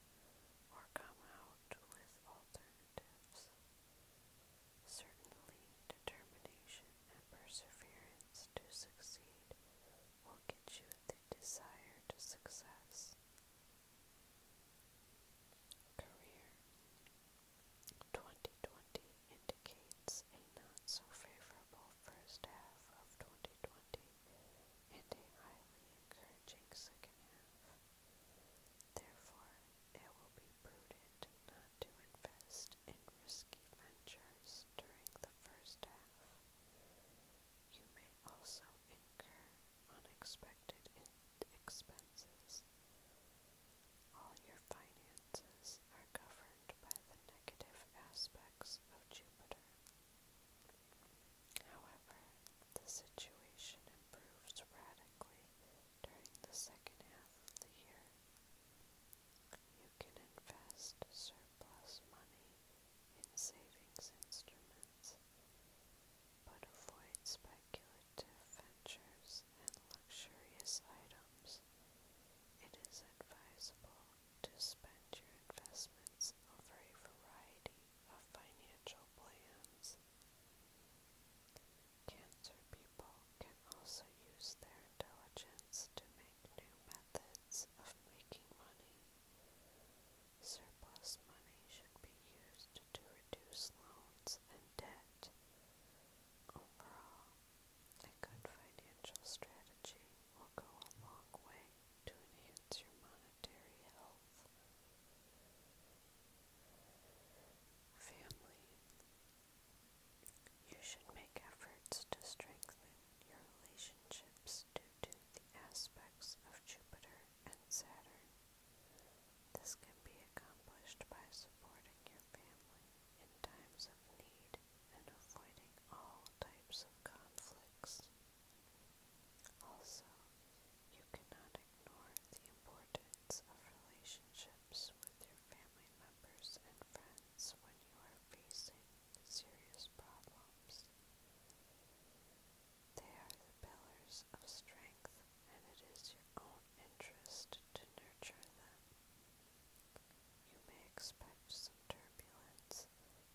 or come out with alternatives. Certainly, determination and perseverance to succeed will get you the desire to success. Career 2020 indicates a not so favorable first half of 2020 and a highly encouraging second half. Therefore, it will be prudent not to invest in risky ventures during the first half. You may also incur unexpected expenses. All your finances are governed by the negative aspects of Jupiter. However, the situation improves radically during the second half of the year. You can invest surplus money in savings instruments, but avoid speculative ventures and luxurious items. It is advisable to spend your investments over a variety of financial plans. Cancer people can also use their intelligence to make new methods of making money. Surplus money should be used to reduce loans and debt. Overall, a good financial strategy will go a long way to enhance your monetary health. Family. You should make efforts to strengthen your relationships due to the aspects of Jupiter and Saturn. This can be accomplished by supporting your family in times of need and avoiding all types of conflicts. Also, you cannot ignore the importance of relationships with your family members and friends happens when you are facing serious problems. They are the pillars of strength, and it is your own interest to nurture them. You may expect some turbulence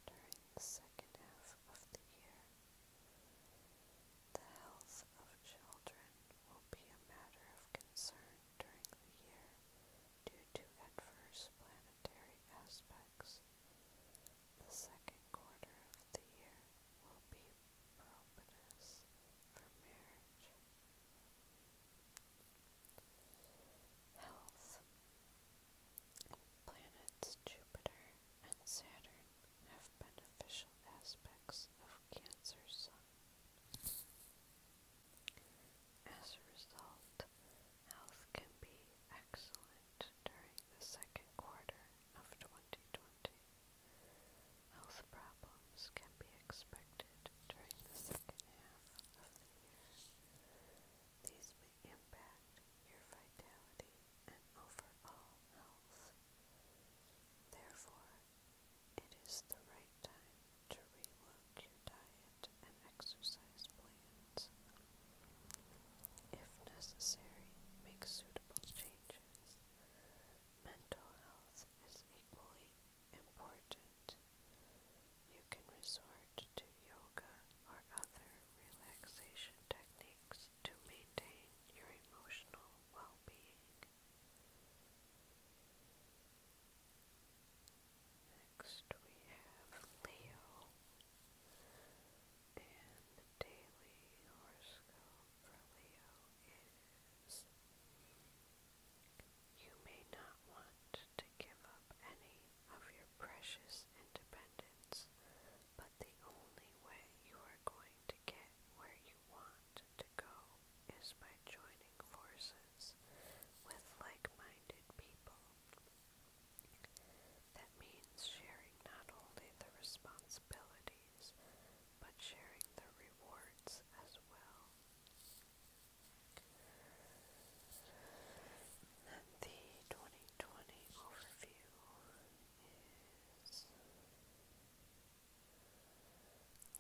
during the second half of the year. The health of children will be a matter of concern during the year due to adverse planetary aspects. The second quarter of the year will be propitious for marriage. Health Planets Jupiter and Saturn have beneficial aspects of Cancer as a result, health can be excellent during the second quarter of 2020. Health problems can be expected during the second half of the year. These may impact your vitality and overall health. Therefore, it is the right time to rework your diet and exercise plans. If necessary, make suitable changes. Mental health is equally important. You can resort to yoga or other relaxation techniques to maintain your emotional well being. Next we have Leo and the daily horoscope for Leo is you may not want to give up any of your precious independence, but the only way you are going to get where you want to go is by joining forces with like-minded people. That means sharing not only the responsibilities, but sharing the rewards as well. And the 2020 overview is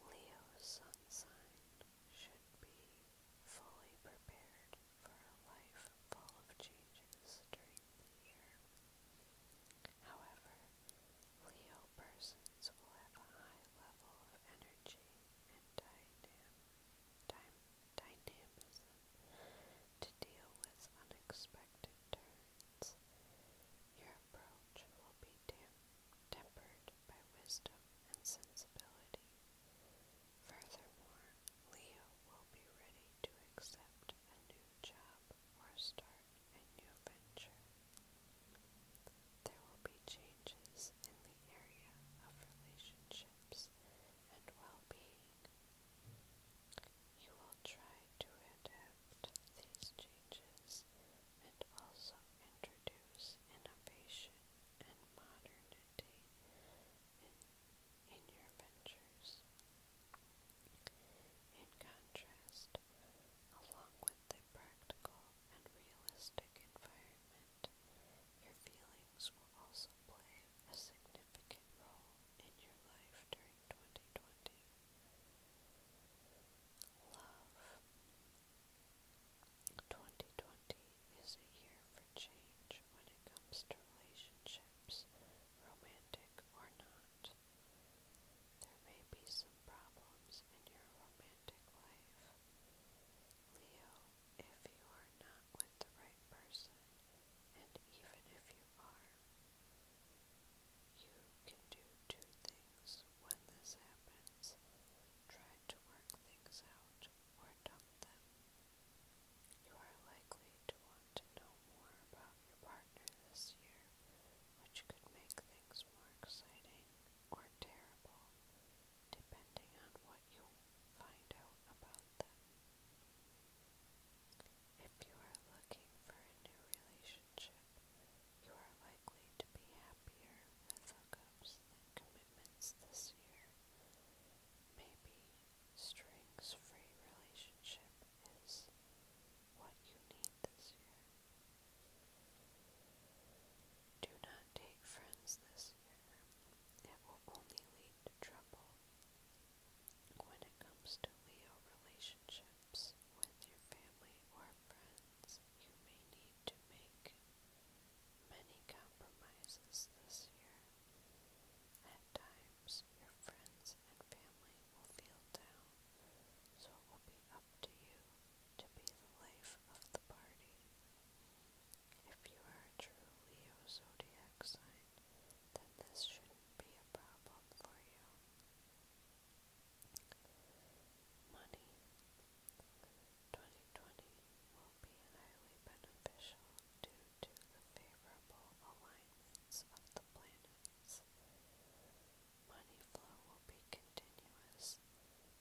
Leo Sun Sign should be fully prepared for a life full of changes during the year. However, Leo persons will have a high level of energy and dynam dy to deal with unexpected turns. Your approach will be tempered by wisdom and sensibility. Furthermore, Leo will be ready to accept a new job or start a new venture. There will be changes in the area of relationships and well being. You will try to adapt these changes and also introduce innovation and modernity in, in your ventures. In contrast, along with the practical and realistic environment, your feelings will also play a significant role in your life during 2020. Love 2020 is a year for change when it comes to relationships, romantic or not. There may be some problems in your romantic life. Leo, if you are not with the right person, and even if you are, you can do two things when this happens. Try to work things out or dump them. You are likely to want to know more about your partner this year, which could make things more exciting or terrible, depending on what you find out about them. If you are looking for a new relationship, you are likely to be happier with hookups than commitment commitments this year. Maybe strings free relationship is what you need this year. Do not date friends this year. It will only lead to trouble. When it comes to Leo relationships with your family or friends, you may need to make Many compromises this year. At times, your friends and family will feel down, so it will be up to you to be the life of the party. If you are a true Leo zodiac sign, then this should be a problem for you. Money. 2020 will be highly beneficial due to the favorable alignments of the planets. Money flow will be continuous,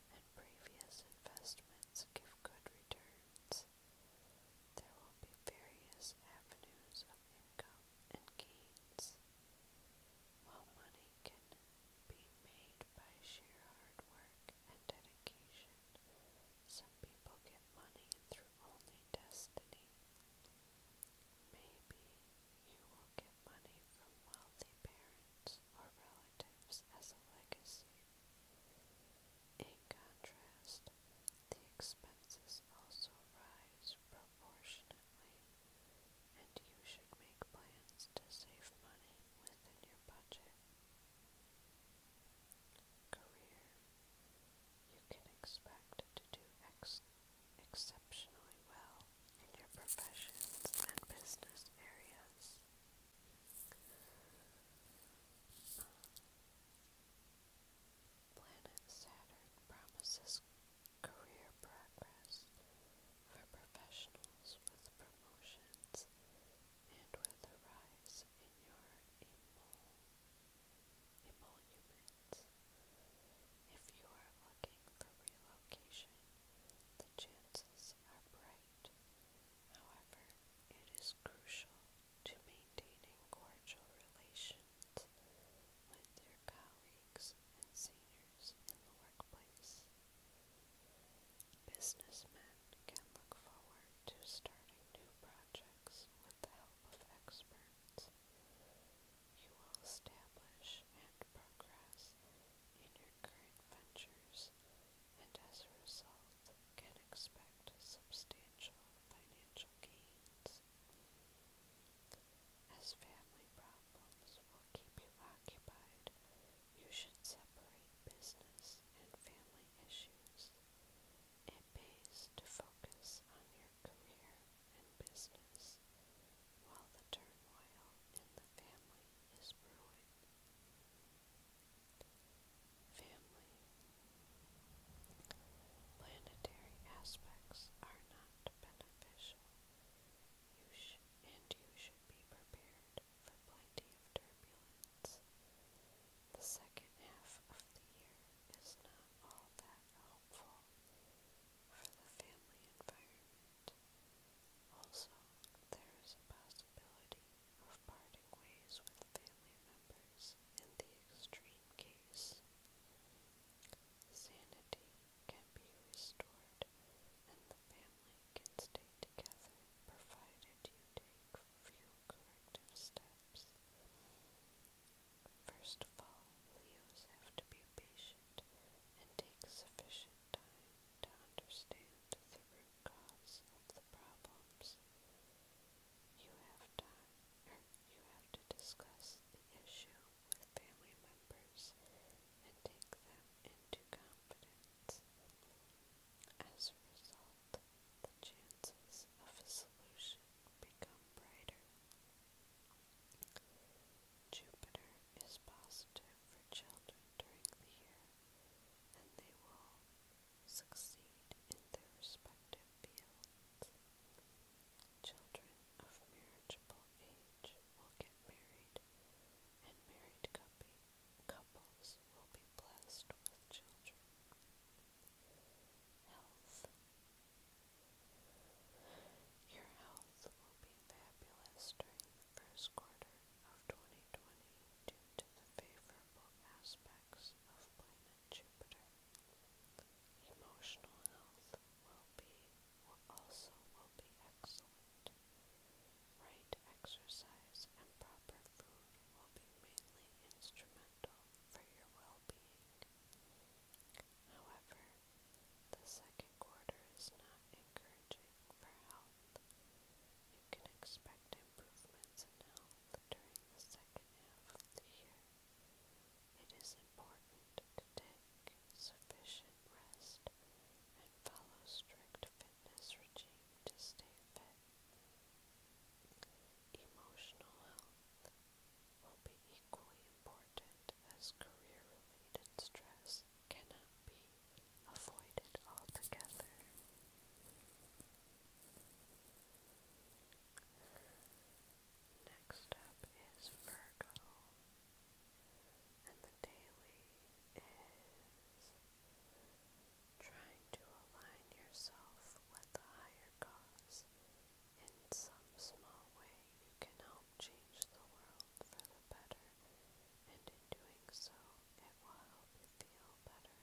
and previous investments give good returns. There will be various avenues of income and gains. While money can be made by sheer hard work, and dedication. Some people get money through only destiny. Maybe you will get money from wealthy parents or relatives as a legacy. In contrast, the expenses also rise proportionately, and you should make plans to save money within your budget. Career. You can expect to do ex exceptionally well in your professions and business areas. Planet Saturn promises career progress for professionals with promotions, and with a rise in your emol If you are looking for relocation, the chances are bright. However, it is crucial to maintaining cordial relations with your colleagues and seniors in the workplace. Businessmen can look forward to starting new projects with the help of experts. You will establish and progress in your current ventures and as a result can expect substantial financial gains. As family problems will keep you occupied, you should separate business and family issues. It pays to focus on your career and business while the turmoil in the family is brewing. Family. Planetary aspects are not beneficial. and you should be prepared for plenty of turbulence. The second half of the year is not all that helpful for the family environment. Also, there is a possibility of parting ways with family members in the extreme case. Sanity can be restored and the family family can stay together provided you take few corrective steps. First of all, Leos have to be patient and take sufficient time to understand the root cause of the problems. You have time, or er, you have to discuss the issue with family members and take them into confidence. As a result, the chances of a solution become brighter. Jupiter is positive for children during the year, and they will succeed in their respective fields. Children of marriageable age will get married, and married couple, couples will be blessed with children. Health. Your health will be fabulous during the first quarter of 2020 due to the favorable aspects of planet Jupiter. Emotional health will be will also will be excellent. Right exercise and proper food will be mainly instrumental for your well-being. However, the second quarter is not encouraging for health. You can expect improvements in health during the second half of the year. It is important to take sufficient rest follow strict fitness regime to stay fit. Emotional health will be equally important as career-related stress cannot be avoided altogether. Next up is Virgo, and the daily is trying to align yourself with the higher cause. In some small way, you can help change the world for the better, and in doing so, it will help you feel better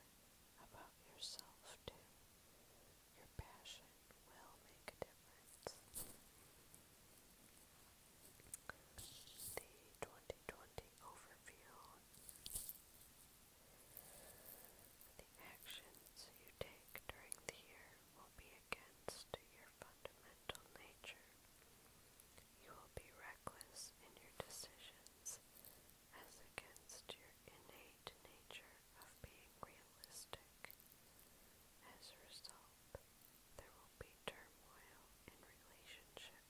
about yourself too. Your passion will make a difference. The 2020 overview the actions you take during the year will be against your fundamental nature. You will be reckless in your decisions as against your innate nature of being realistic. As a result, there will be turmoil in relationships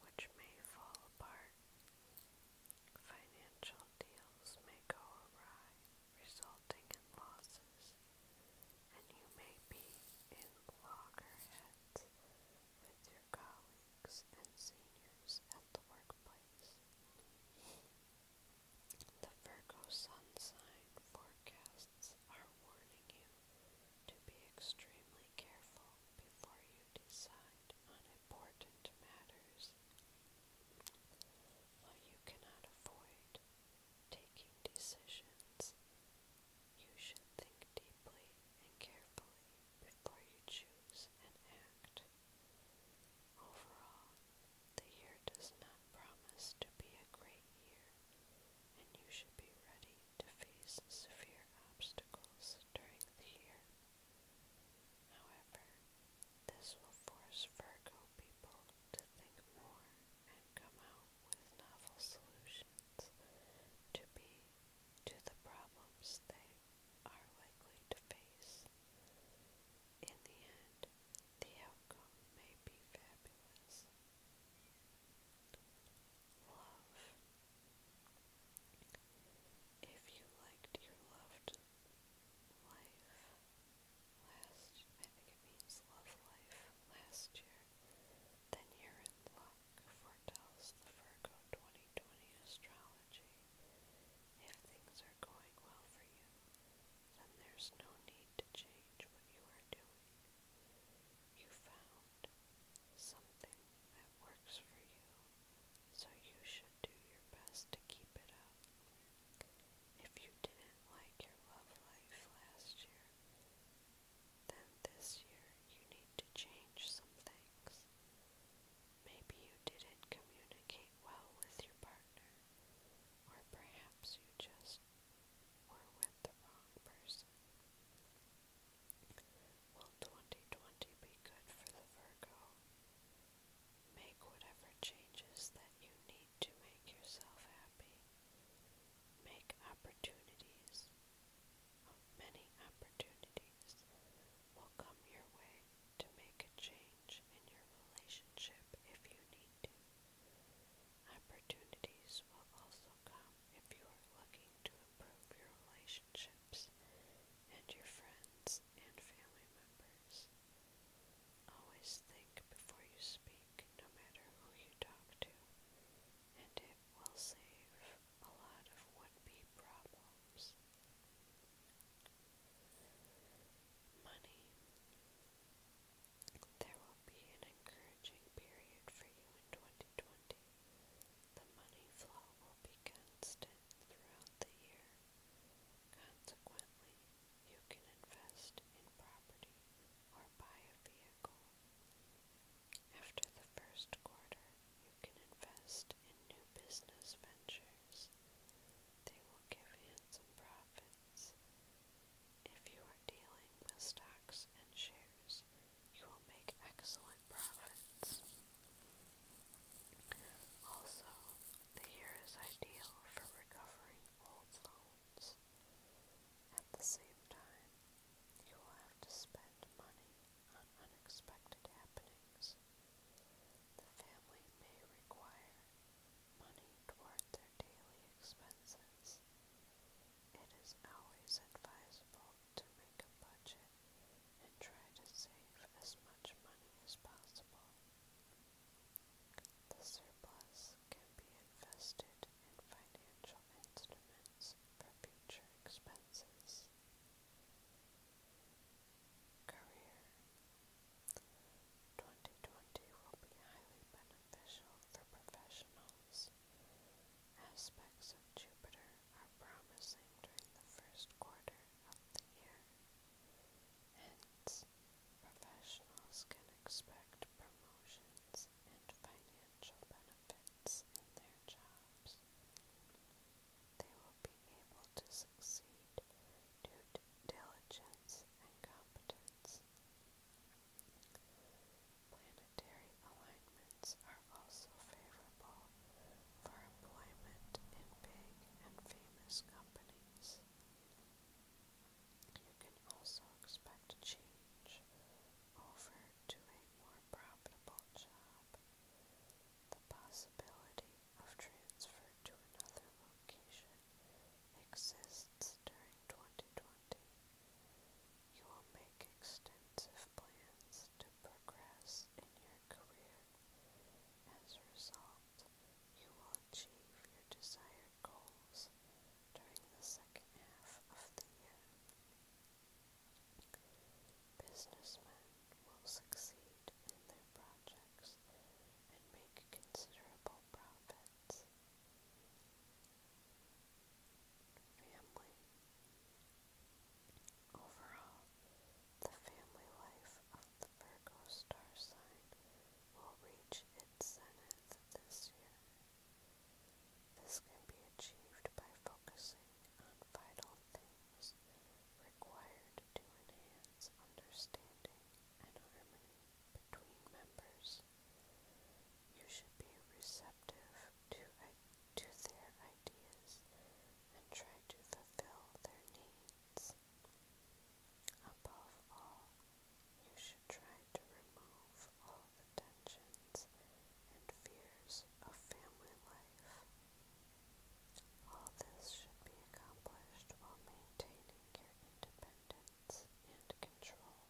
which may fall apart. Financial deals may go awry, resulting in losses, and you may be in loggerheads with your colleagues and seniors at the workplace. The Virgo Sun sign forecasts are warning you to be extremely careful before you decide on important matters. While you cannot avoid taking decisions, you should think deeply and carefully before you choose and act. Overall, the year does not promise to be a great year, and you should be ready to face severe obstacles during the year. However, this will force Virgo people to think more and come out with novel solutions to be to the problems they are likely to face. In the end, the outcome may be fabulous. Love if you liked your loved life last, year, then you're in luck, foretells the Virgo 2020 astrology. If things are going well for you, then there's no need to change what you are doing. You found something that works for you, so you should do your best to keep it up. If you didn't like your love life last year, then this year you need to change some things. Maybe you didn't communicate well with your partner, or perhaps you just were with the wrong person. Will 2020 be good for the Virgo? Make whatever changes that you need to make yourself happy. Make opportunities. Many opportunities will come your way to make a change in your relationship if you need to. Opportunities will also come if you are looking to improve your relationship relationships, and your friends and family members. Always think before you speak, no matter who you talk to, and it will save a lot of would-be problems. Money. There will be an encouraging period for you in 2020, the money flow will be constant throughout the year. Consequently, you can invest in property or buy a vehicle. After the first quarter, you can invest in new business ventures. They will give handsome profits. If you are dealing with stocks and shares, you will make excellent profits. Also, the year is ideal for recovering old loans. At the same time, you will have to spend money on unexpected happenings. The family may require money toward their daily expenses. It is always advisable to make a budget and try to save as much money as possible. The surplus can be invested in financial instruments for future expenses. Career 2020 will be highly beneficial for professionals. Aspects of Jupiter are promising during the first quarter of the year. Hence, professionals can expect promotions and financial benefits in their jobs. They will be able to succeed due to diligence and competence. Planetary alignment are also favorable for employment in big and famous companies. You can also expect a change over to a more profitable job. The possibility of transfer to another location exists during 2020. You will make extensive plans to progress in your career. As a result, you will achieve your desired goals during the second half of the year. Businessmen will succeed in their projects and make considerable profits. Family Overall, the family life of the Virgo star sign will reach its zenith this year. This can be achieved by focusing on vital things required to enhance understanding and harmony between members. You should be receptive to to their ideas and try to fulfill their needs. Above all, you should try to remove all the tensions and fears of family life. All this should be accomplished while maintaining your independence and control.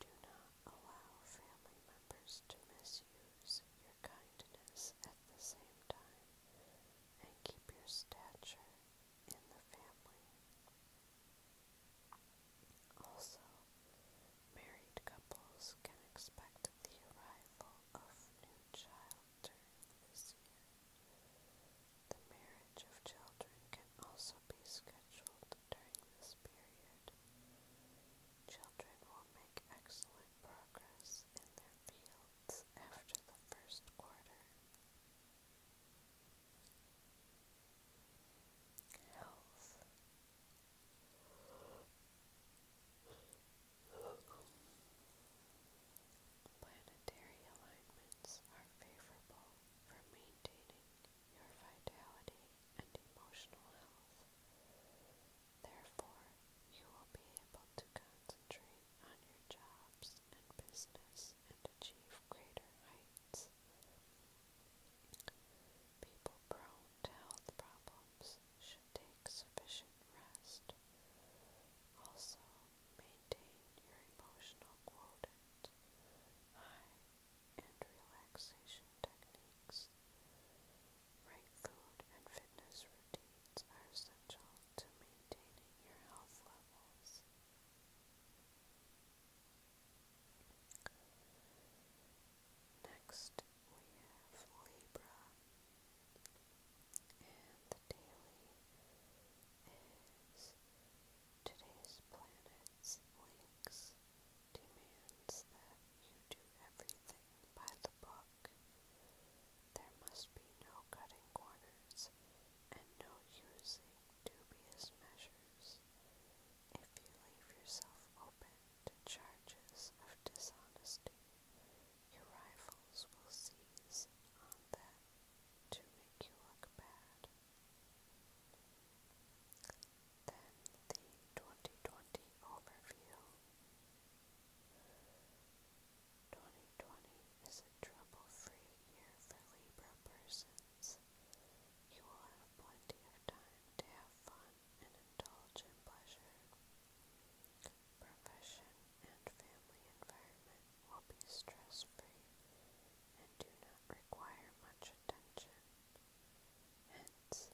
Do not allow family members to misuse use your kindness at the same time and keep your stature in the family. Also, married couples can expect the arrival of new child during this year. The marriage of children can also be scheduled during this period. Children will make excellent showing progress in their fields after the first quarter. Health. Planetary alignments are favorable for maintaining your vitality and emotional health. Therefore, you will be able to concentrate on your jobs and business and achieve greater heights. People prone to health problems should take sufficient rest. Also, maintain your emotional quotient high and relaxation techniques. Right food and fitness routines are essential to maintaining your health levels. Next, we have Libra, and the daily is today's planets links demands that you do everything by the book. There must be no cutting corners and no using dubious measures if you leave yourself open to charges of dishonesty. Your rivals will seize on them to make you look bad. Then the 2020 overview. 2020 is a trouble-free year for Libra persons. You will have plenty of time to have fun and indulge in pleasure. Profession and family environment will be stress-free and do not require much attention. Hence,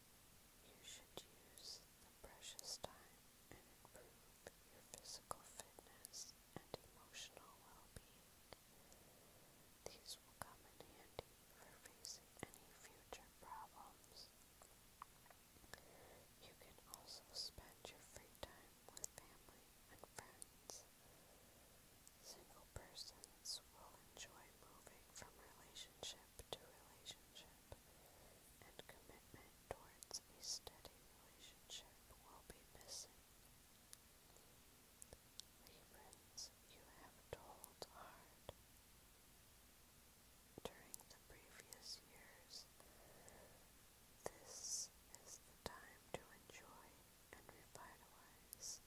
you should use precious time and improve your physical fitness and emotional well-being. These will come in handy for facing any future problems. You can also spend your free time with family and friends. Single persons will enjoy moving from relationship to relationship, and commitment towards a steady relationship will be missing. Librans, you have told hard. During the previous years, this is the time to enjoy and revitalize.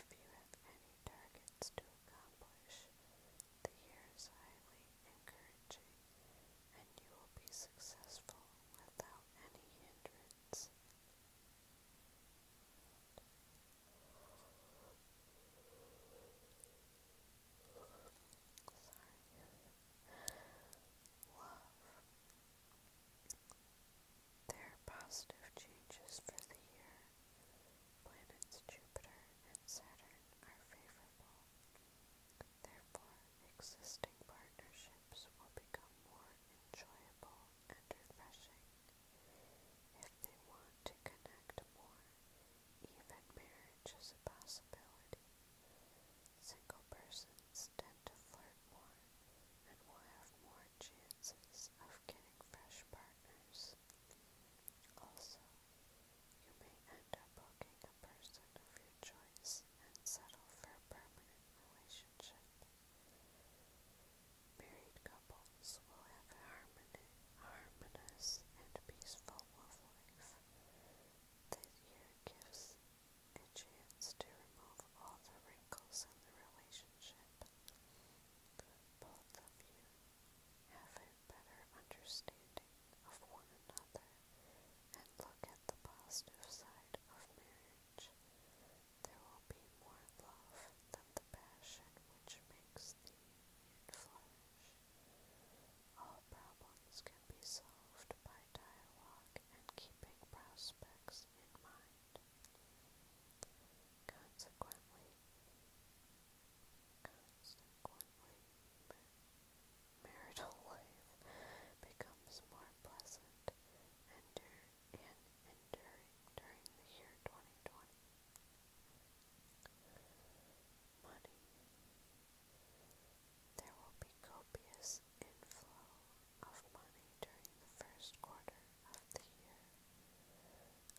If you have any targets to accomplish, the year is highly encouraging, and you will be successful without any hindrance. Sorry. Love. There are positive changes for the year. Planets Jupiter and Saturn are favorable. Therefore, existing partnerships will become more enjoyable and refreshing. If they want to connect more, even marriage is a possibility. Single persons tend to flirt more and will have more chances of getting fresh partners. Also, you may end up hooking a person of your choice and settle for a permanent relationship. Married couples will have a harmony, and peaceful love life. This year gives a chance to remove all the wrinkles in the relationship. Both of you have a better understanding of one another and look at the positive side of marriage, there will be more love than the passion which makes the union flourish. All problems can be solved by dialogue and keeping prospects in mind. Consequently, Consequently, marital life becomes more pleasant and, dur during the year 2020. Money. There will be copious inflow of money during the first quarter of the year.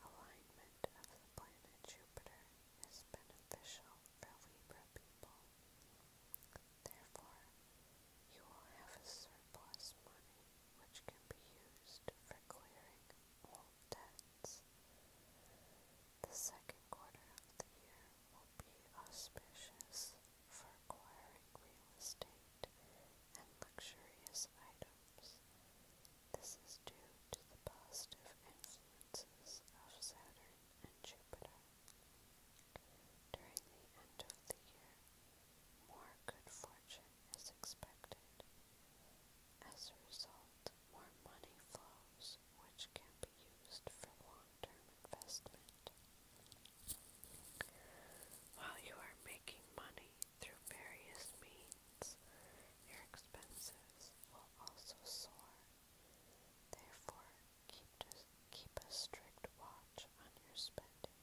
Alignment of the planet Jupiter is beneficial for Libra people. Therefore, you will have a surplus money which can be used for clearing old debts. The second quarter of the year will be auspicious for acquiring real estate and luxurious items, this is due to the positive influences of Saturn and Jupiter. During the end of the year, more good fortune is expected. As a result, more money flows, which can be used for long-term investment. While you are making money through various means, expense. Your expenses will also soar. Therefore, keep, to, keep a strict watch on your spending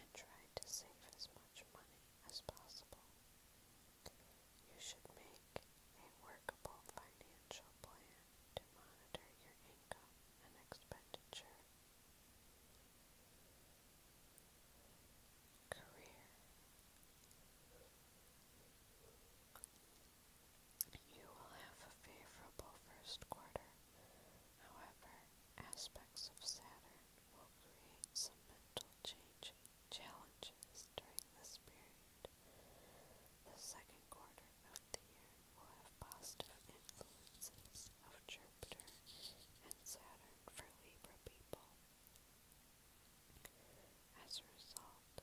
and try to save as much money as possible. You should make a workable financial plan to monitor your income and expenditure. Career. You will have a favorable first quarter. However, aspects of Saturn will create some mental change challenges during this period. The second quarter of the year will have positive influences of Jupiter and Saturn for Libra people. As a result,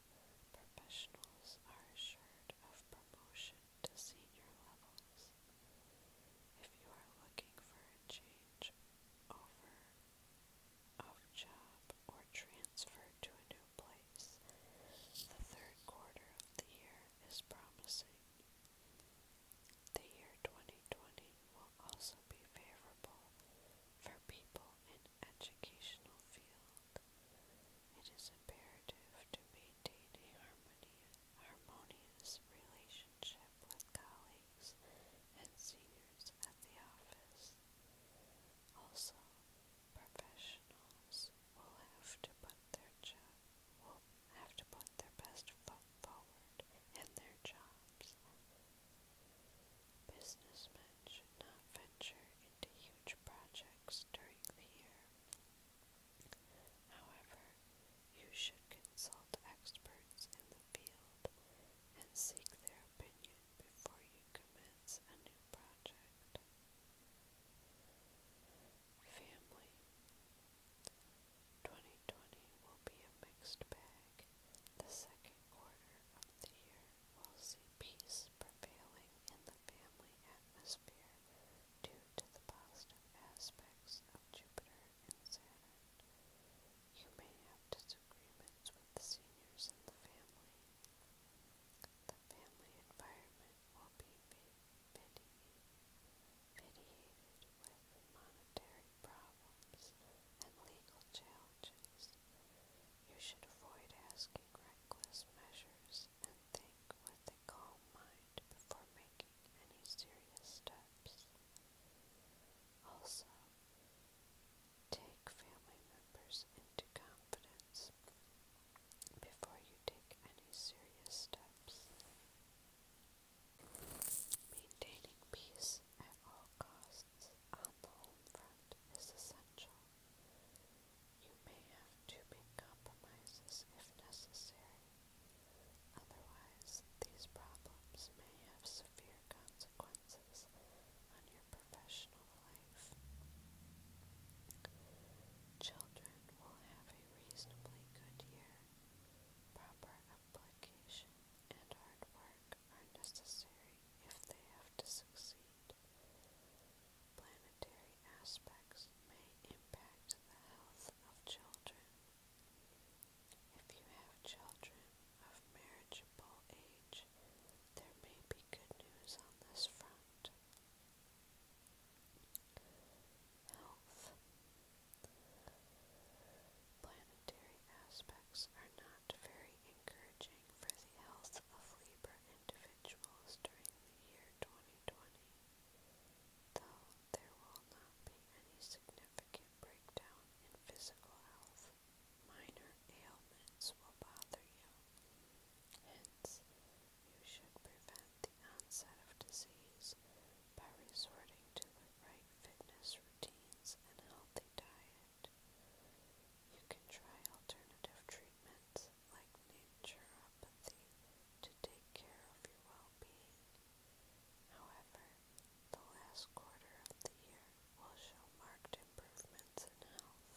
professionals are assured of promotion to senior levels. If you are looking for a change over of job or transfer to a new place, the third quarter of the year is promising. The year 2020 will also be favorable for people in educational field, it is imperative to maintain a harmonious relationship with colleagues and seniors at the office. Also, professionals will have to put their job will have to put their best foot forward in their jobs Businessmen should not venture into huge projects during the year. However, you should consult experts in the field and seek their opinion before you commence a new project. Family 2020 will be a mixed bag. The second quarter of the year will see peace prevailing in the family atmosphere due to the positive aspects of Jupiter and Saturn. You may have disagreements with the seniors in the family. The family environment will be vitiated with monetary problems and legal challenges. You should avoid asking reckless measures and think with a calm mind before making any serious steps. Also, take family members into confidence before you take any serious steps. Maintaining peace at all costs presence on the home front is essential. You may have to make compromises if necessary. Otherwise, these problems may have severe consequences on your professional life. Children will have a reasonably good year. Proper application and hard work are necessary if they have to succeed. Planetary aspects may impact the health of children. If you have children of marriageable age, there may be good news on this front. Health. Planetary aspects are not very encouraging for the health of labor individuals during the year 2020, though there will not be any significant breakdown in physical health. Minor ailments will bother you. Hence, you should prevent the onset of disease by resorting to the right fitness routines and healthy diet it. You can try alternative treatments like naturopathy to take care of your well-being. However, the last quarter of the year will show marked improvements in health.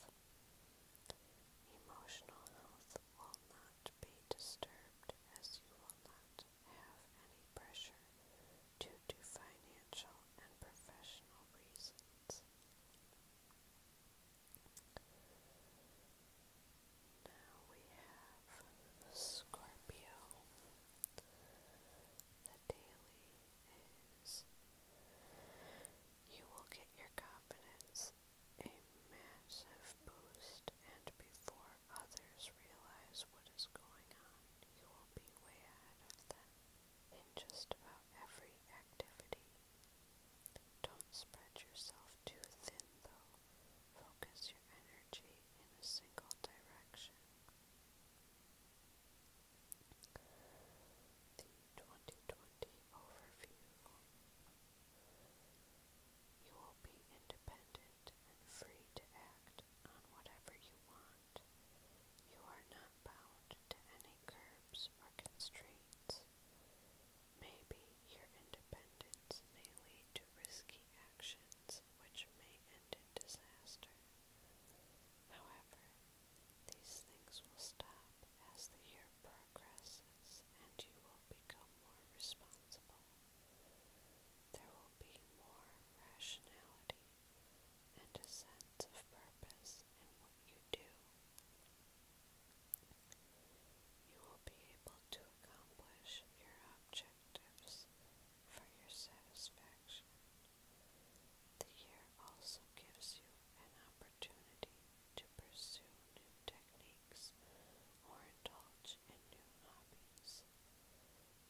Emotional health will not be disturbed as you will not have any pressure due to financial and professional reasons. Now we have Scorpio. The daily is you will get your confidence a massive boost, and before others realize what is going on, you will be way ahead of them in just about every activity. Don't spread yourself too thin, though. Focus your energy in a single direction. The 2020 Overview You will be independent and free to act on whatever you want out. You are not bound to any curbs or constraints. Maybe your independence may lead to risky actions which may end in disaster. However, these things will stop as the year progresses and you will become more responsible. There will be more rationality and a sense of purpose in what you do. You will be able to accomplish your objectives for your satisfaction. The year also gives you an opportunity to pursue new techniques or indulge in new hobbies.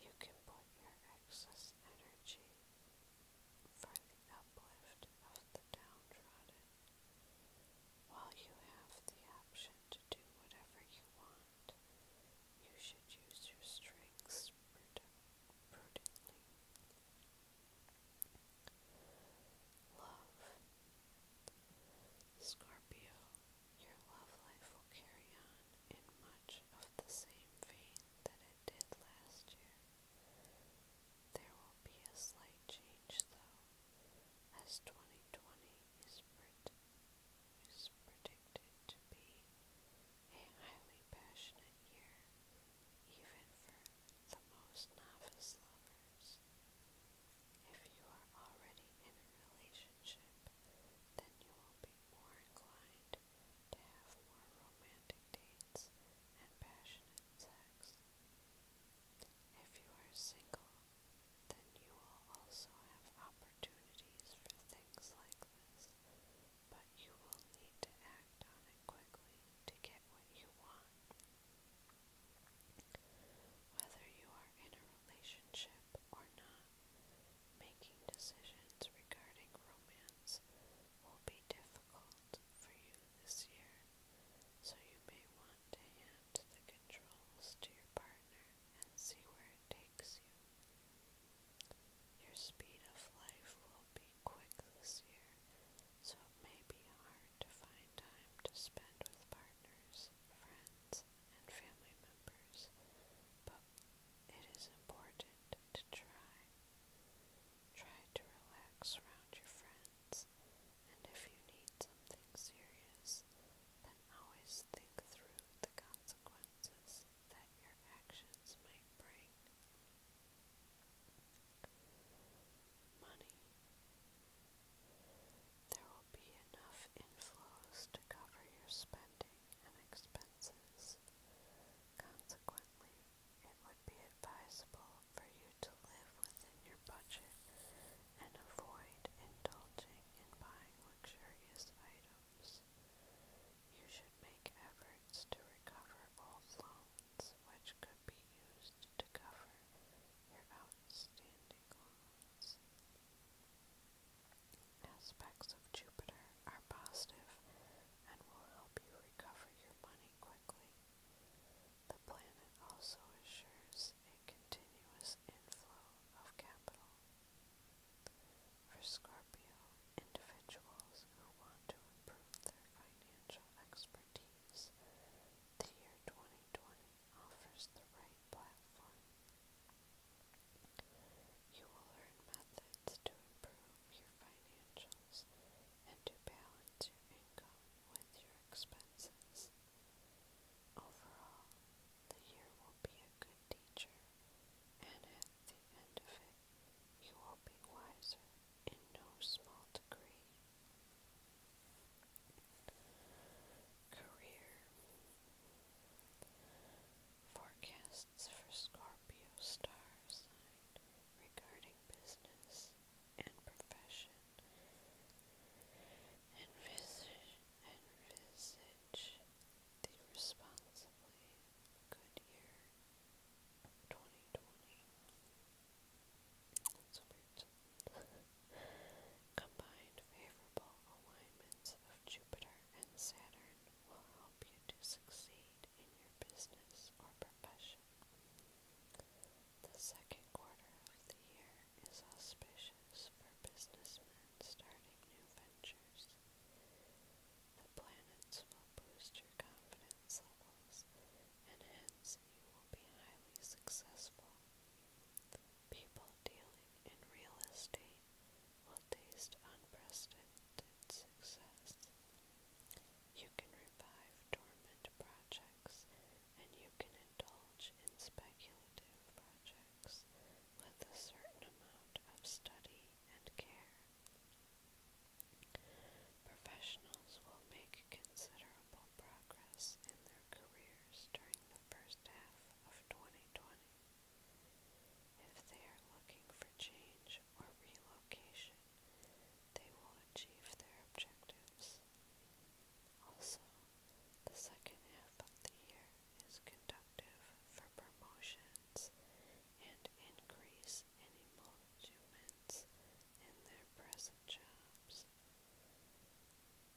You can put your excess energy for the uplift of the downtrodden. While you have the option to do whatever you want, you should use your strengths Love. Scorpio, your love life will carry on in much of the same vein that it did last year. There will be a slight change though, as 2020 is, pred predicted to be a highly passionate year, even for the most novice lovers. If you are already in a relationship, then you will be more inclined to have more romantic dates and passionate sex. If you are single, then you will also have opportunities for things like this, but you will need to act on it quickly to get what you want. Whether you are in a relationship or not, making decisions regarding romance will be difficult for you this year, so you may want to hand the controls to your partner and see where it takes you. Your speed of life will be quick this year, so it may be hard to find time to spend with partners, friends, and family members, but it is important to try. Try to relax around your friends, and if you need something serious, then always think through the consequences that your actions might bring. Money. There will be enough inflows to cover your spending and expenses. Consequently, it would be advisable for you to live within your budget and avoid indulging in buying luxurious items. You should make efforts to recover old loans which could be used to cover your outstanding loans. Aspects of Jupiter are positive and will help you recover your money quickly quickly. The planet also assures a continuous inflow of capital. For Scorpio, individuals who want to improve their financial expertise, the year 2020 offers the right platform. You will learn methods to improve your financial and to balance your income with your expenses. Overall, the year will be a good teacher, and at the end of it, you will be wiser in no small degree. Career Forecasts for Scorpio star sign regarding business and profession, and visage, and visage the responsibly good year 2020. That's Combined favorable alignments of Jupiter and Saturn will help you to succeed in your business or profession. The second quarter of the year is auspicious for businessmen starting new ventures. The planets will boost your confidence levels, and hence you will be highly successful. People dealing in real estate will taste unprecedented success. You can revive dormant projects, and you can indulge in speculative projects with a certain amount of study and care. Professionals will make considerable progress in their careers during the first half of 2020. If they are looking for change or relocation, they will achieve their objectives. Also, the second half of the year is conductive for promotions and increase in emoluments in their present jobs.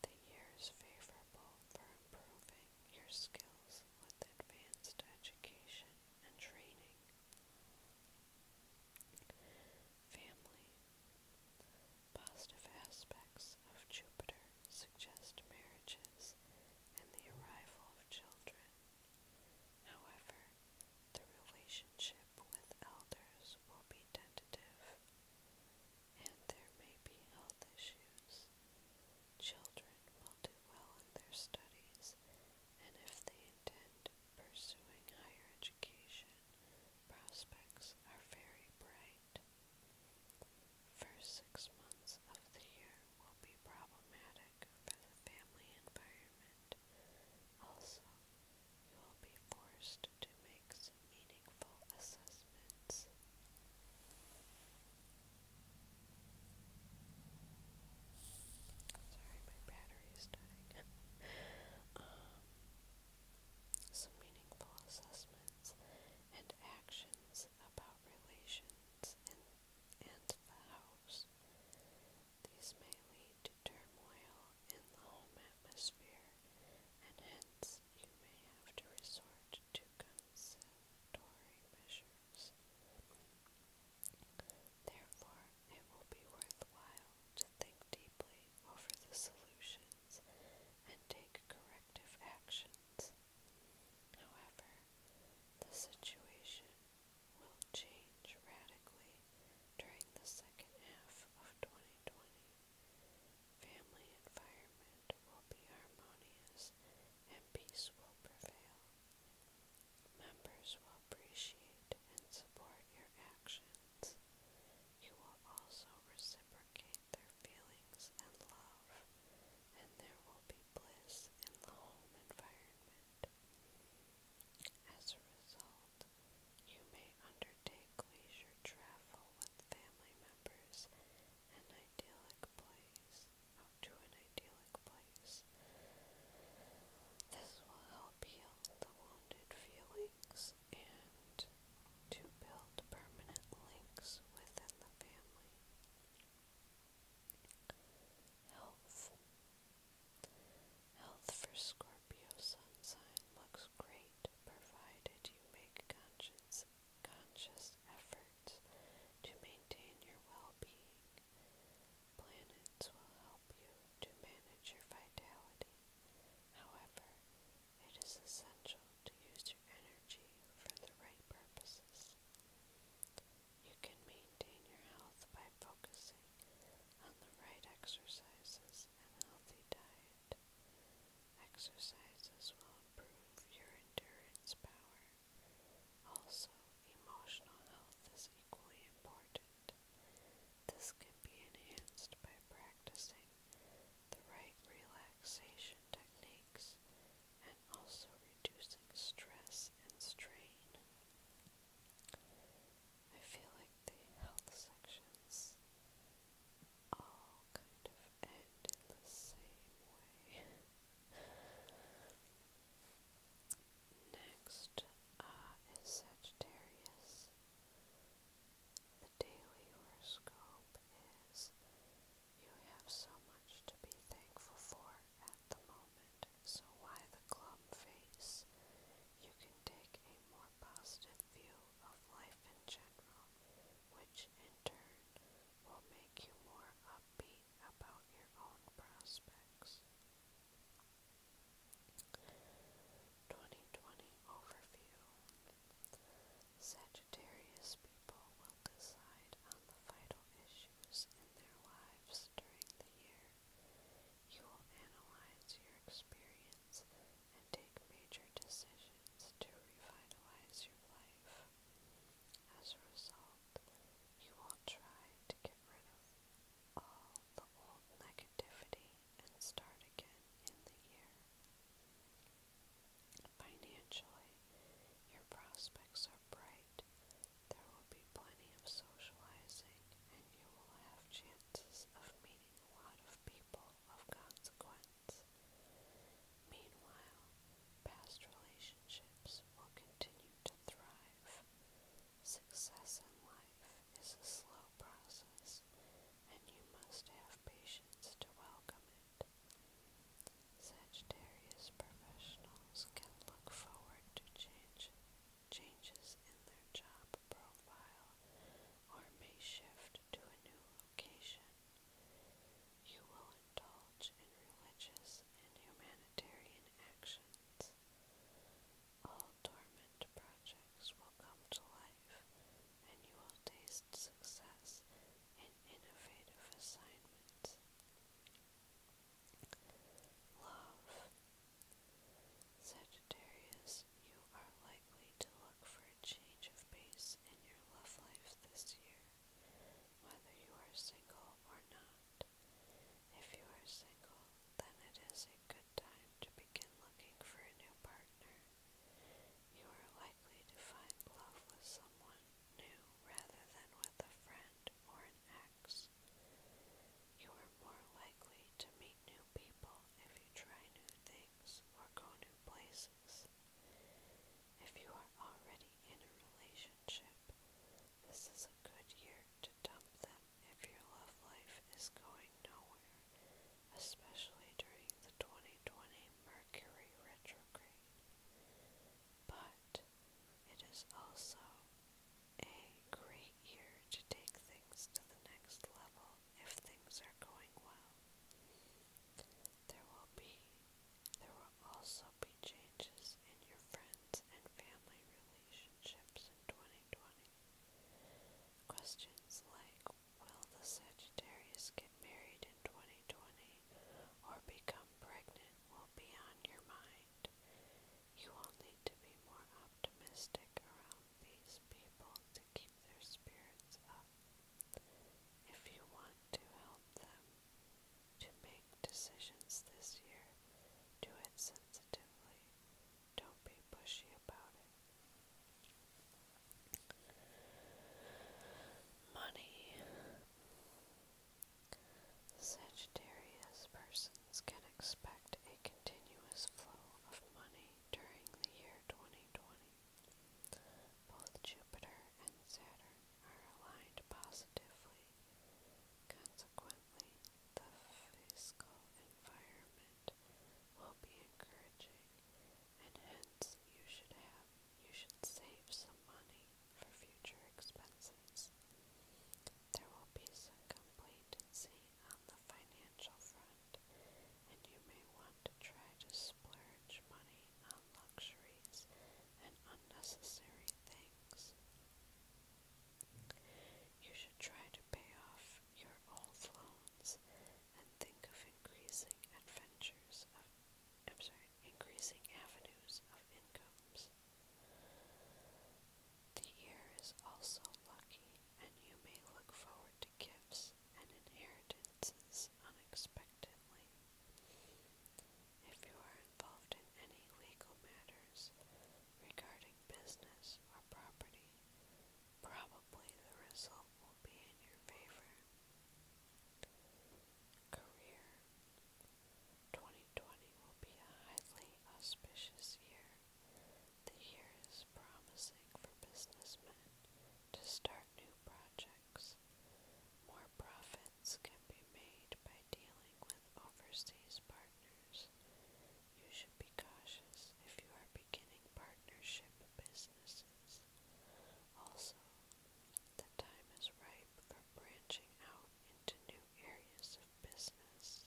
The year is favorable for improving your skills with advanced education and training. Family. Positive aspects of Jupiter suggest marriages and the arrival of children. However, the relationship with elders will be tentative, and there may be health issues. Children will do well in their studies and if they intend pursuing higher education, prospects are very bright. First six months of the year will be problematic for the family environment. Also, you will be forced to make some meaningful assessments. Sorry, some meaningful assessments and actions about relations and, the house. These may lead to turmoil in the home atmosphere, and hence you may have to resort to conciliatory measures. Therefore, it will be worthwhile to think deeply over the solutions and take corrective actions. However, the situation will change radically during the second half of 2020. Family environment will be harmonious and peace will prevail. Members will appreciate and support your actions. You will also reciprocate their feelings and love, and there will be bliss in the home environment. As a result, you may undertake leisure travel with family members an idyllic place, to an idyllic place this will help heal the wounded feelings and to build permanent links within the family. Health. Health for Scorpio Sun sign looks great provided you make conscious, conscious efforts to maintain your well being Planets will help you to manage your vitality. However, it is essential to use your energy for the right purposes. You can maintain your health by focusing on the right exercises and healthy diet. Exercises will improve your endurance power. Also, emotional health is equally important. This can be enhanced by practicing the right relaxation techniques and also reducing stress and strain. I feel like the health sections all kind of end in the same way. Next uh, is Sagittarius. The daily horoscope is you have so much to be thankful for at the moment, so why the glum face? You can take a more positive view of life in general, which in turn will make you more upbeat about your own prospects. 2020 Overview Sagittarius people will decide on the vital issues in their lives during the year. You will analyze your experience and take major decisions to revitalize your life. As a result, you will try to get rid of all the old negative negativity and start again in the year. Financially, your prospects are bright. There will be plenty of socializing, and you will have chances of meeting a lot of people of consequence. Meanwhile, past relationships will continue to thrive. Success in life is a slow process, and you must have patience to welcome it. Sagittarius professionals can look forward to change, changes in their job profile or may shift to a new location. You will indulge in religious and humanitarian actions all projects will come to life, and you will taste success in innovative assignments. Love. Sagittarius, you are likely to look for a change of pace in your love life this year, whether you are single or not. If you are single, then it is a good time to begin looking for a new partner. You are likely to find love with someone new rather than with a friend or an ex. You are more likely to meet new people if you try new things or go new places. If you are already in a relationship, this is a good year to dump them if your love life is going nowhere, especially during the 2020 Mercury retrograde. But it is also a great year to take things to the next level if things are going well. There will be there will also be changes in your friends and family relationships in 2020. Questions like Will the Sagittarius get married in 2020 or become pregnant will be on your mind. You will need to be more optimistic around these people to keep their spirits up. If you want to help them to make decisions this year, do it sensitively. Don't be pushy about it. Money. Sagittarius persons can expect a continuous flow of money during the year 2020. Both Jupiter and Saturn are aligned positively. Consequently, the fiscal environment gift will be encouraging, and hence you should have you should save some money for future expenses. There will be some complacency on the financial front, and you may want to try to splurge money on luxuries and unnecessary things. You should try to pay off your old loans and think of increasing adventures of I'm sorry, increasing avenues of incomes. The year is also lucky and you may look forward to gifts and inheritances unexpectedly. If you are involved in any legal matters regarding business or property, Probably the result will be in your favor. Career 2020 will be a highly auspicious year. The year is promising for businessmen to start new projects. More profits can be made by dealing with overseas partners you should be cautious if you are beginning partnership businesses. Also, the time is ripe for branching out into new areas of business.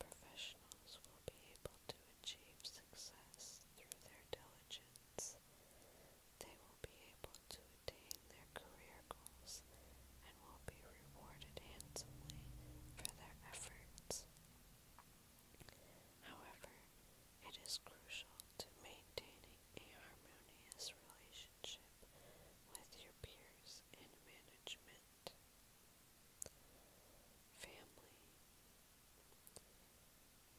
Professionals will be able to achieve success through their diligence. They will be able to attain their career goals and will be rewarded handsomely for their efforts. However, it is crucial to maintaining a harmonious relationship with your peers and management. Family.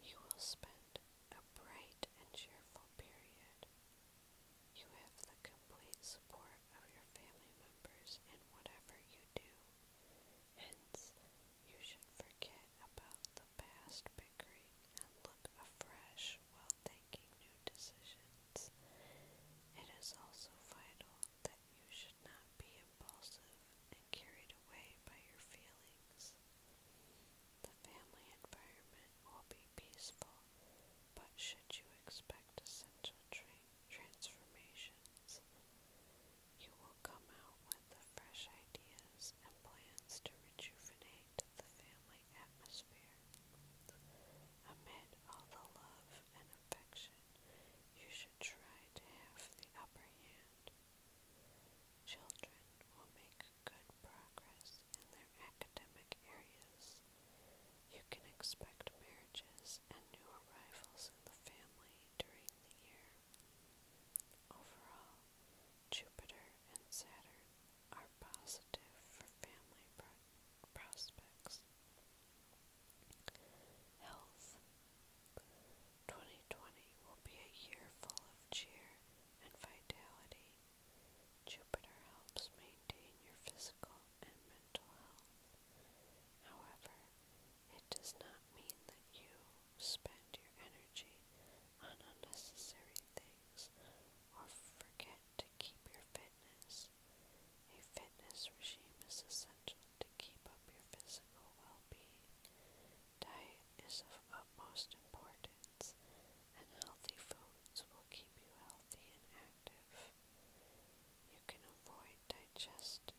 You will spend a bright and cheerful period. You have the complete support of your family members in whatever you do. Hence, you should forget about the past bickering and look afresh while taking new decisions. It is also vital that you should not be impulsive and carried away by your feelings. The family environment will be peaceful, but should you expect essential traits transformations. You will come out with fresh ideas and plans to rejuvenate the family atmosphere. Amid all the love and affection, you should try to have the upper hand. Children will make good progress in their academic areas. You can expect marriages and new arrivals in the family during the year. Overall, Jupiter and Saturn are positive for family prospects. Health 2020 will be a year full of cheer and vitality. Jupiter helps maintain your physical and However, it does not mean that you spend your energy on unnecessary things or forget to keep your fitness. A fitness regime is essential to keep up your physical well being. Diet is of utmost importance, and healthy foods will keep you healthy and active. You can avoid digestive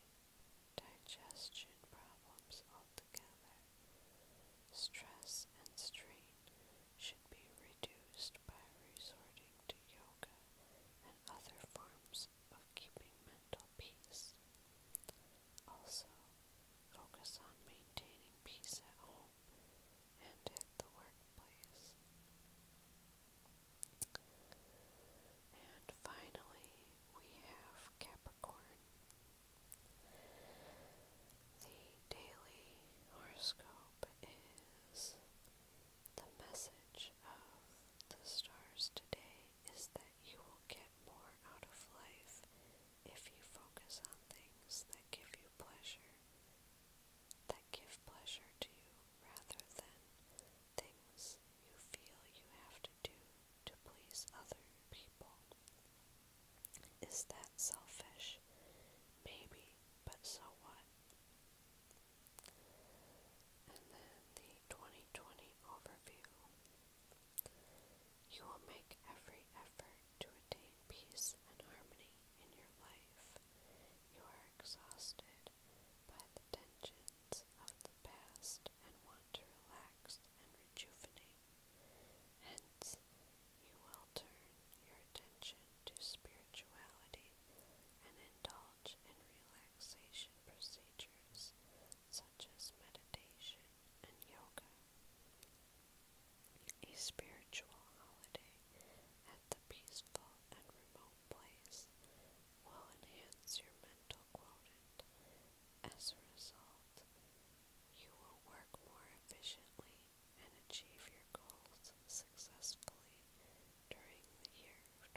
digestion problems altogether. Stress and strain should be reduced by resorting to yoga and other forms of keeping mental peace. Also, focus on maintaining peace at home and at the workplace. And finally, we have Capricorn. The daily horoscope is the message of the stars today is that you will get more out of life if you focus on things that give you pleasure, that give pleasure to you rather than things you feel you have to do to please other people. Is that selfish? Maybe, but so what? And then the 2020 overview. You will make every effort to attain peace and harmony in your life. You are exhausted by the tension events of the past and want to relax and rejuvenate. Hence, you will turn your attention to spirituality and indulge in relaxation procedures such as meditation and yoga. A spiritual holiday at the peaceful and remote place will enhance your mental quotient. As a result, you will work more efficiently and achieve your goals successfully during the year of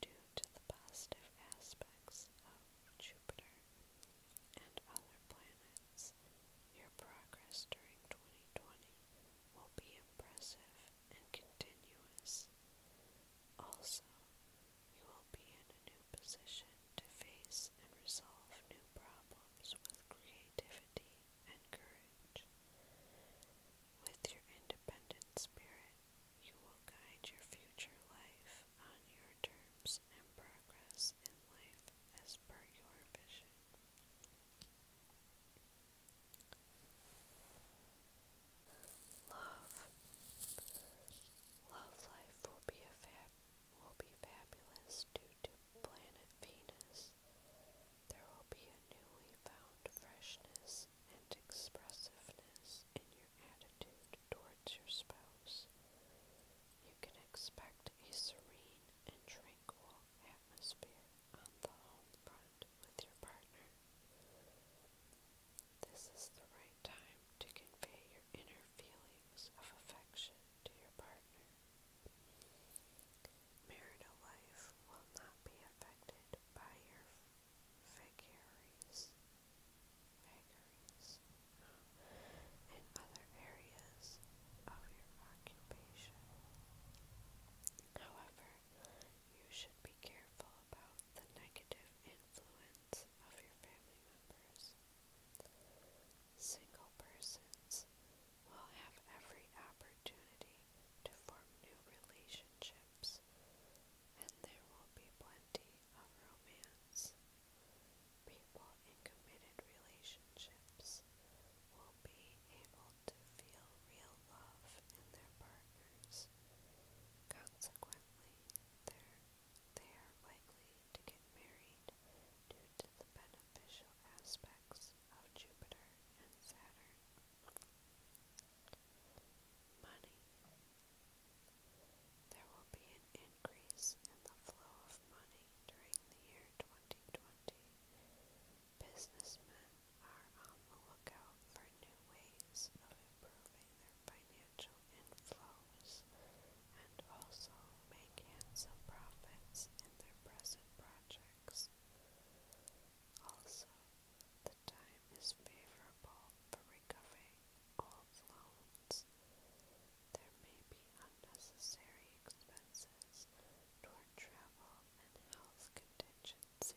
2020. Due to the positive aspects of Jupiter and other planets, your progress during 2020 will be impressive and continuous. Also, you will be in a new position to face and resolve new problems with creativity and courage. With your independent spirit, you will guide your future life on your terms and progress in life as per your vision. Love, love life will be fab, will be fabulous due to planet Venus. There will be a newly found freshness and expressiveness in your attitude towards your spouse. You can expect a serene and tranquil atmosphere on the home front with your partner. This is the right time to convey your inner feelings of affection to your partner. Marital life will not be affected by your vagaries, vagaries uh, other areas of your occupation. However, you should be careful about the negative influence of your family members. Single persons will have every opportunity to form new relationships, and there will be plenty of romance. People in committed relationships will be able to feel real love in their partners. Consequently, they're, likely to get married due to the beneficial aspects of Jupiter and Saturn. Money. There will be an increase in the flow of money during the year 2020 Businessmen are on the lookout for new ways of improving their financial inflows and also make handsome profits in their present projects. Also, the time is favorable for recovering old loans. There may be unnecessary expenses toward travel and health contingencies.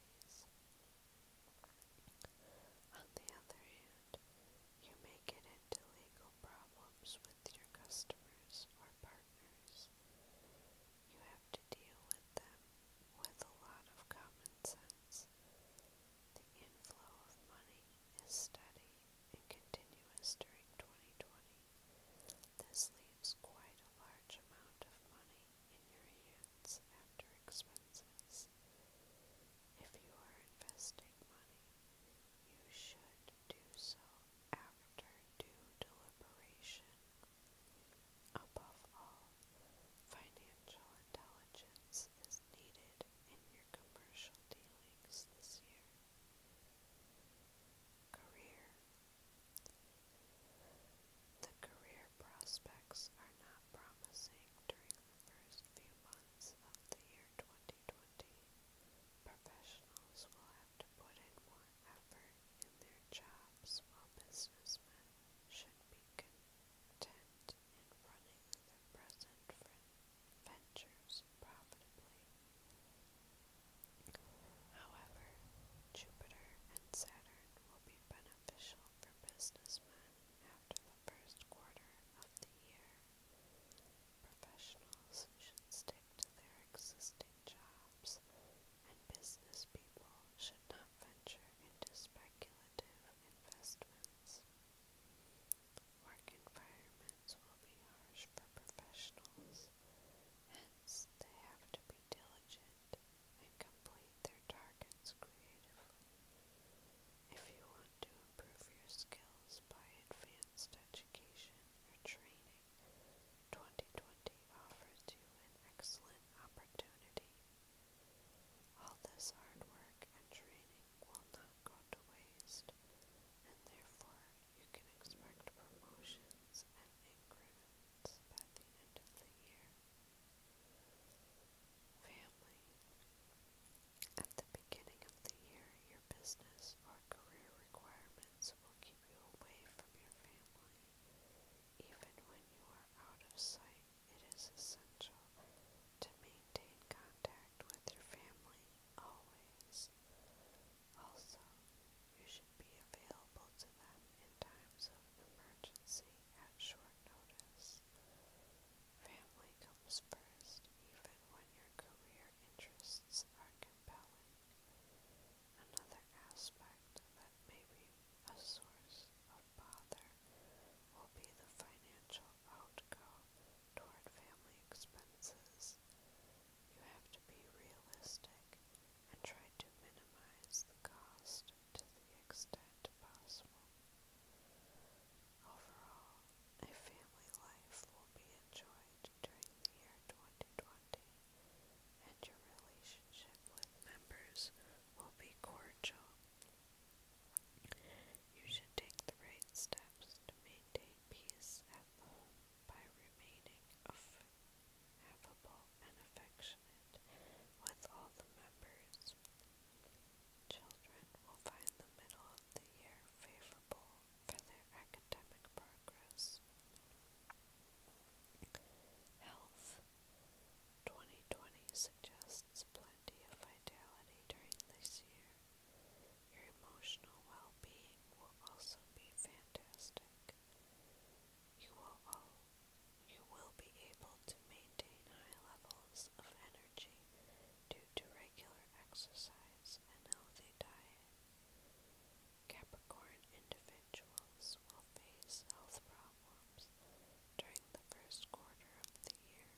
On the other hand, you may get into legal problems with your customers or partners. You have to deal with them with a lot of common sense. The inflow of money is steady and continuous during 2020. This leaves quite a large amount of money in your hands after expenses. If you are investing money, you should do so after due deliberation. Above all, financial intelligence is needed in your commercial dealings this year. Career the career prospects are not promising during the first few months of the year 2020. Professionals will have to put in more effort in their jobs while businessmen should be content in running their present ventures profitably. However, Jupiter and Saturn will be beneficial unusual for businessmen after the first quarter of the year. Professionals should stick to their existing jobs, and business people should not venture into speculative investments. Work environments will be harsh for professionals, hence they have to be diligent and complete their targets creatively. If you want to improve your skills by advanced education or training, 2020 offers you an excellent opportunity. All this hard work and training will not go to waste, and therefore you can expect promotions and increments by the end of the year. Family. At the beginning of the year, your business or career requirements will keep you away from your family. Even when you are out of sight, it is essential to maintain contact with your family always. Also, you should be available to them in times of emergency at short notice. Family comes first, even when your career interests are compelling. Another aspect that may be a source of bother will be the financial outgo toward family expenses. You have to be realistic and try to minimize the cost to the extent possible. Overall, a family life will be enjoyed during the year 2020, and your relationship with members will be cordial. You should take the right steps to maintain peace at home by remaining affable and affectionate with all the members. Children will find the middle of the year favorable for their academic progress. Health 2020 suggests plenty of vitality during this year. Your emotional well being will also be fantastic. You will all you will be able to maintain high levels of energy due to regular exercise and healthy diet. Capricorn individuals will face health problems during the first quarter of the year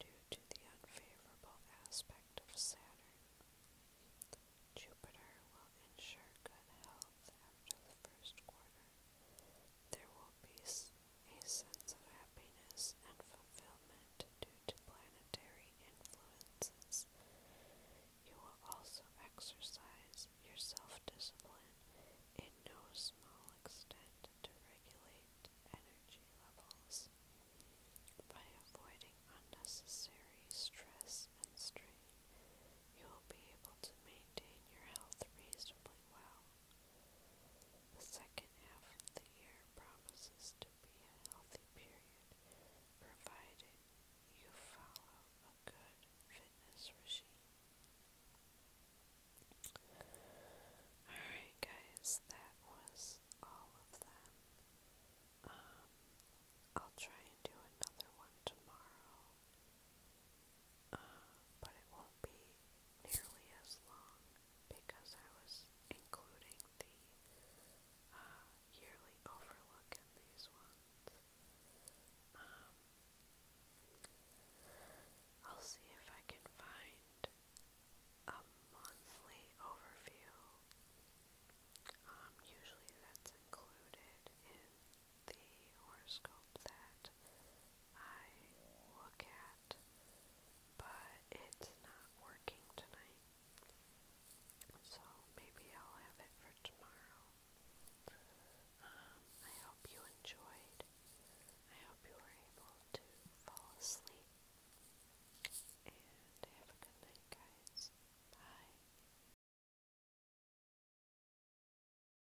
due to the unfavorable aspect of Saturn. Jupiter will ensure good health after the first quarter there will be a sense of happiness and fulfillment due to planetary influences. You will also exercise your self discipline in no small extent to regulate energy levels by avoiding unnecessary stress and strain. You will be able to maintain your health reasonably well. The second half of the year promises to be a healthy period, provided you follow a good fitness regime. Alright, guys, that was all of them. Um, I'll try and do another one tomorrow. Uh, but it won't be nearly as long because I was including the uh, yearly overlook in these ones. Um, I'll see if I can find a monthly overview. Um, usually that's included in the horoscope that I look at, but it's not working tonight. So maybe I'll have it for tomorrow. Um, I hope you enjoyed. I hope you were able to fall asleep. And have a good night, guys. Bye.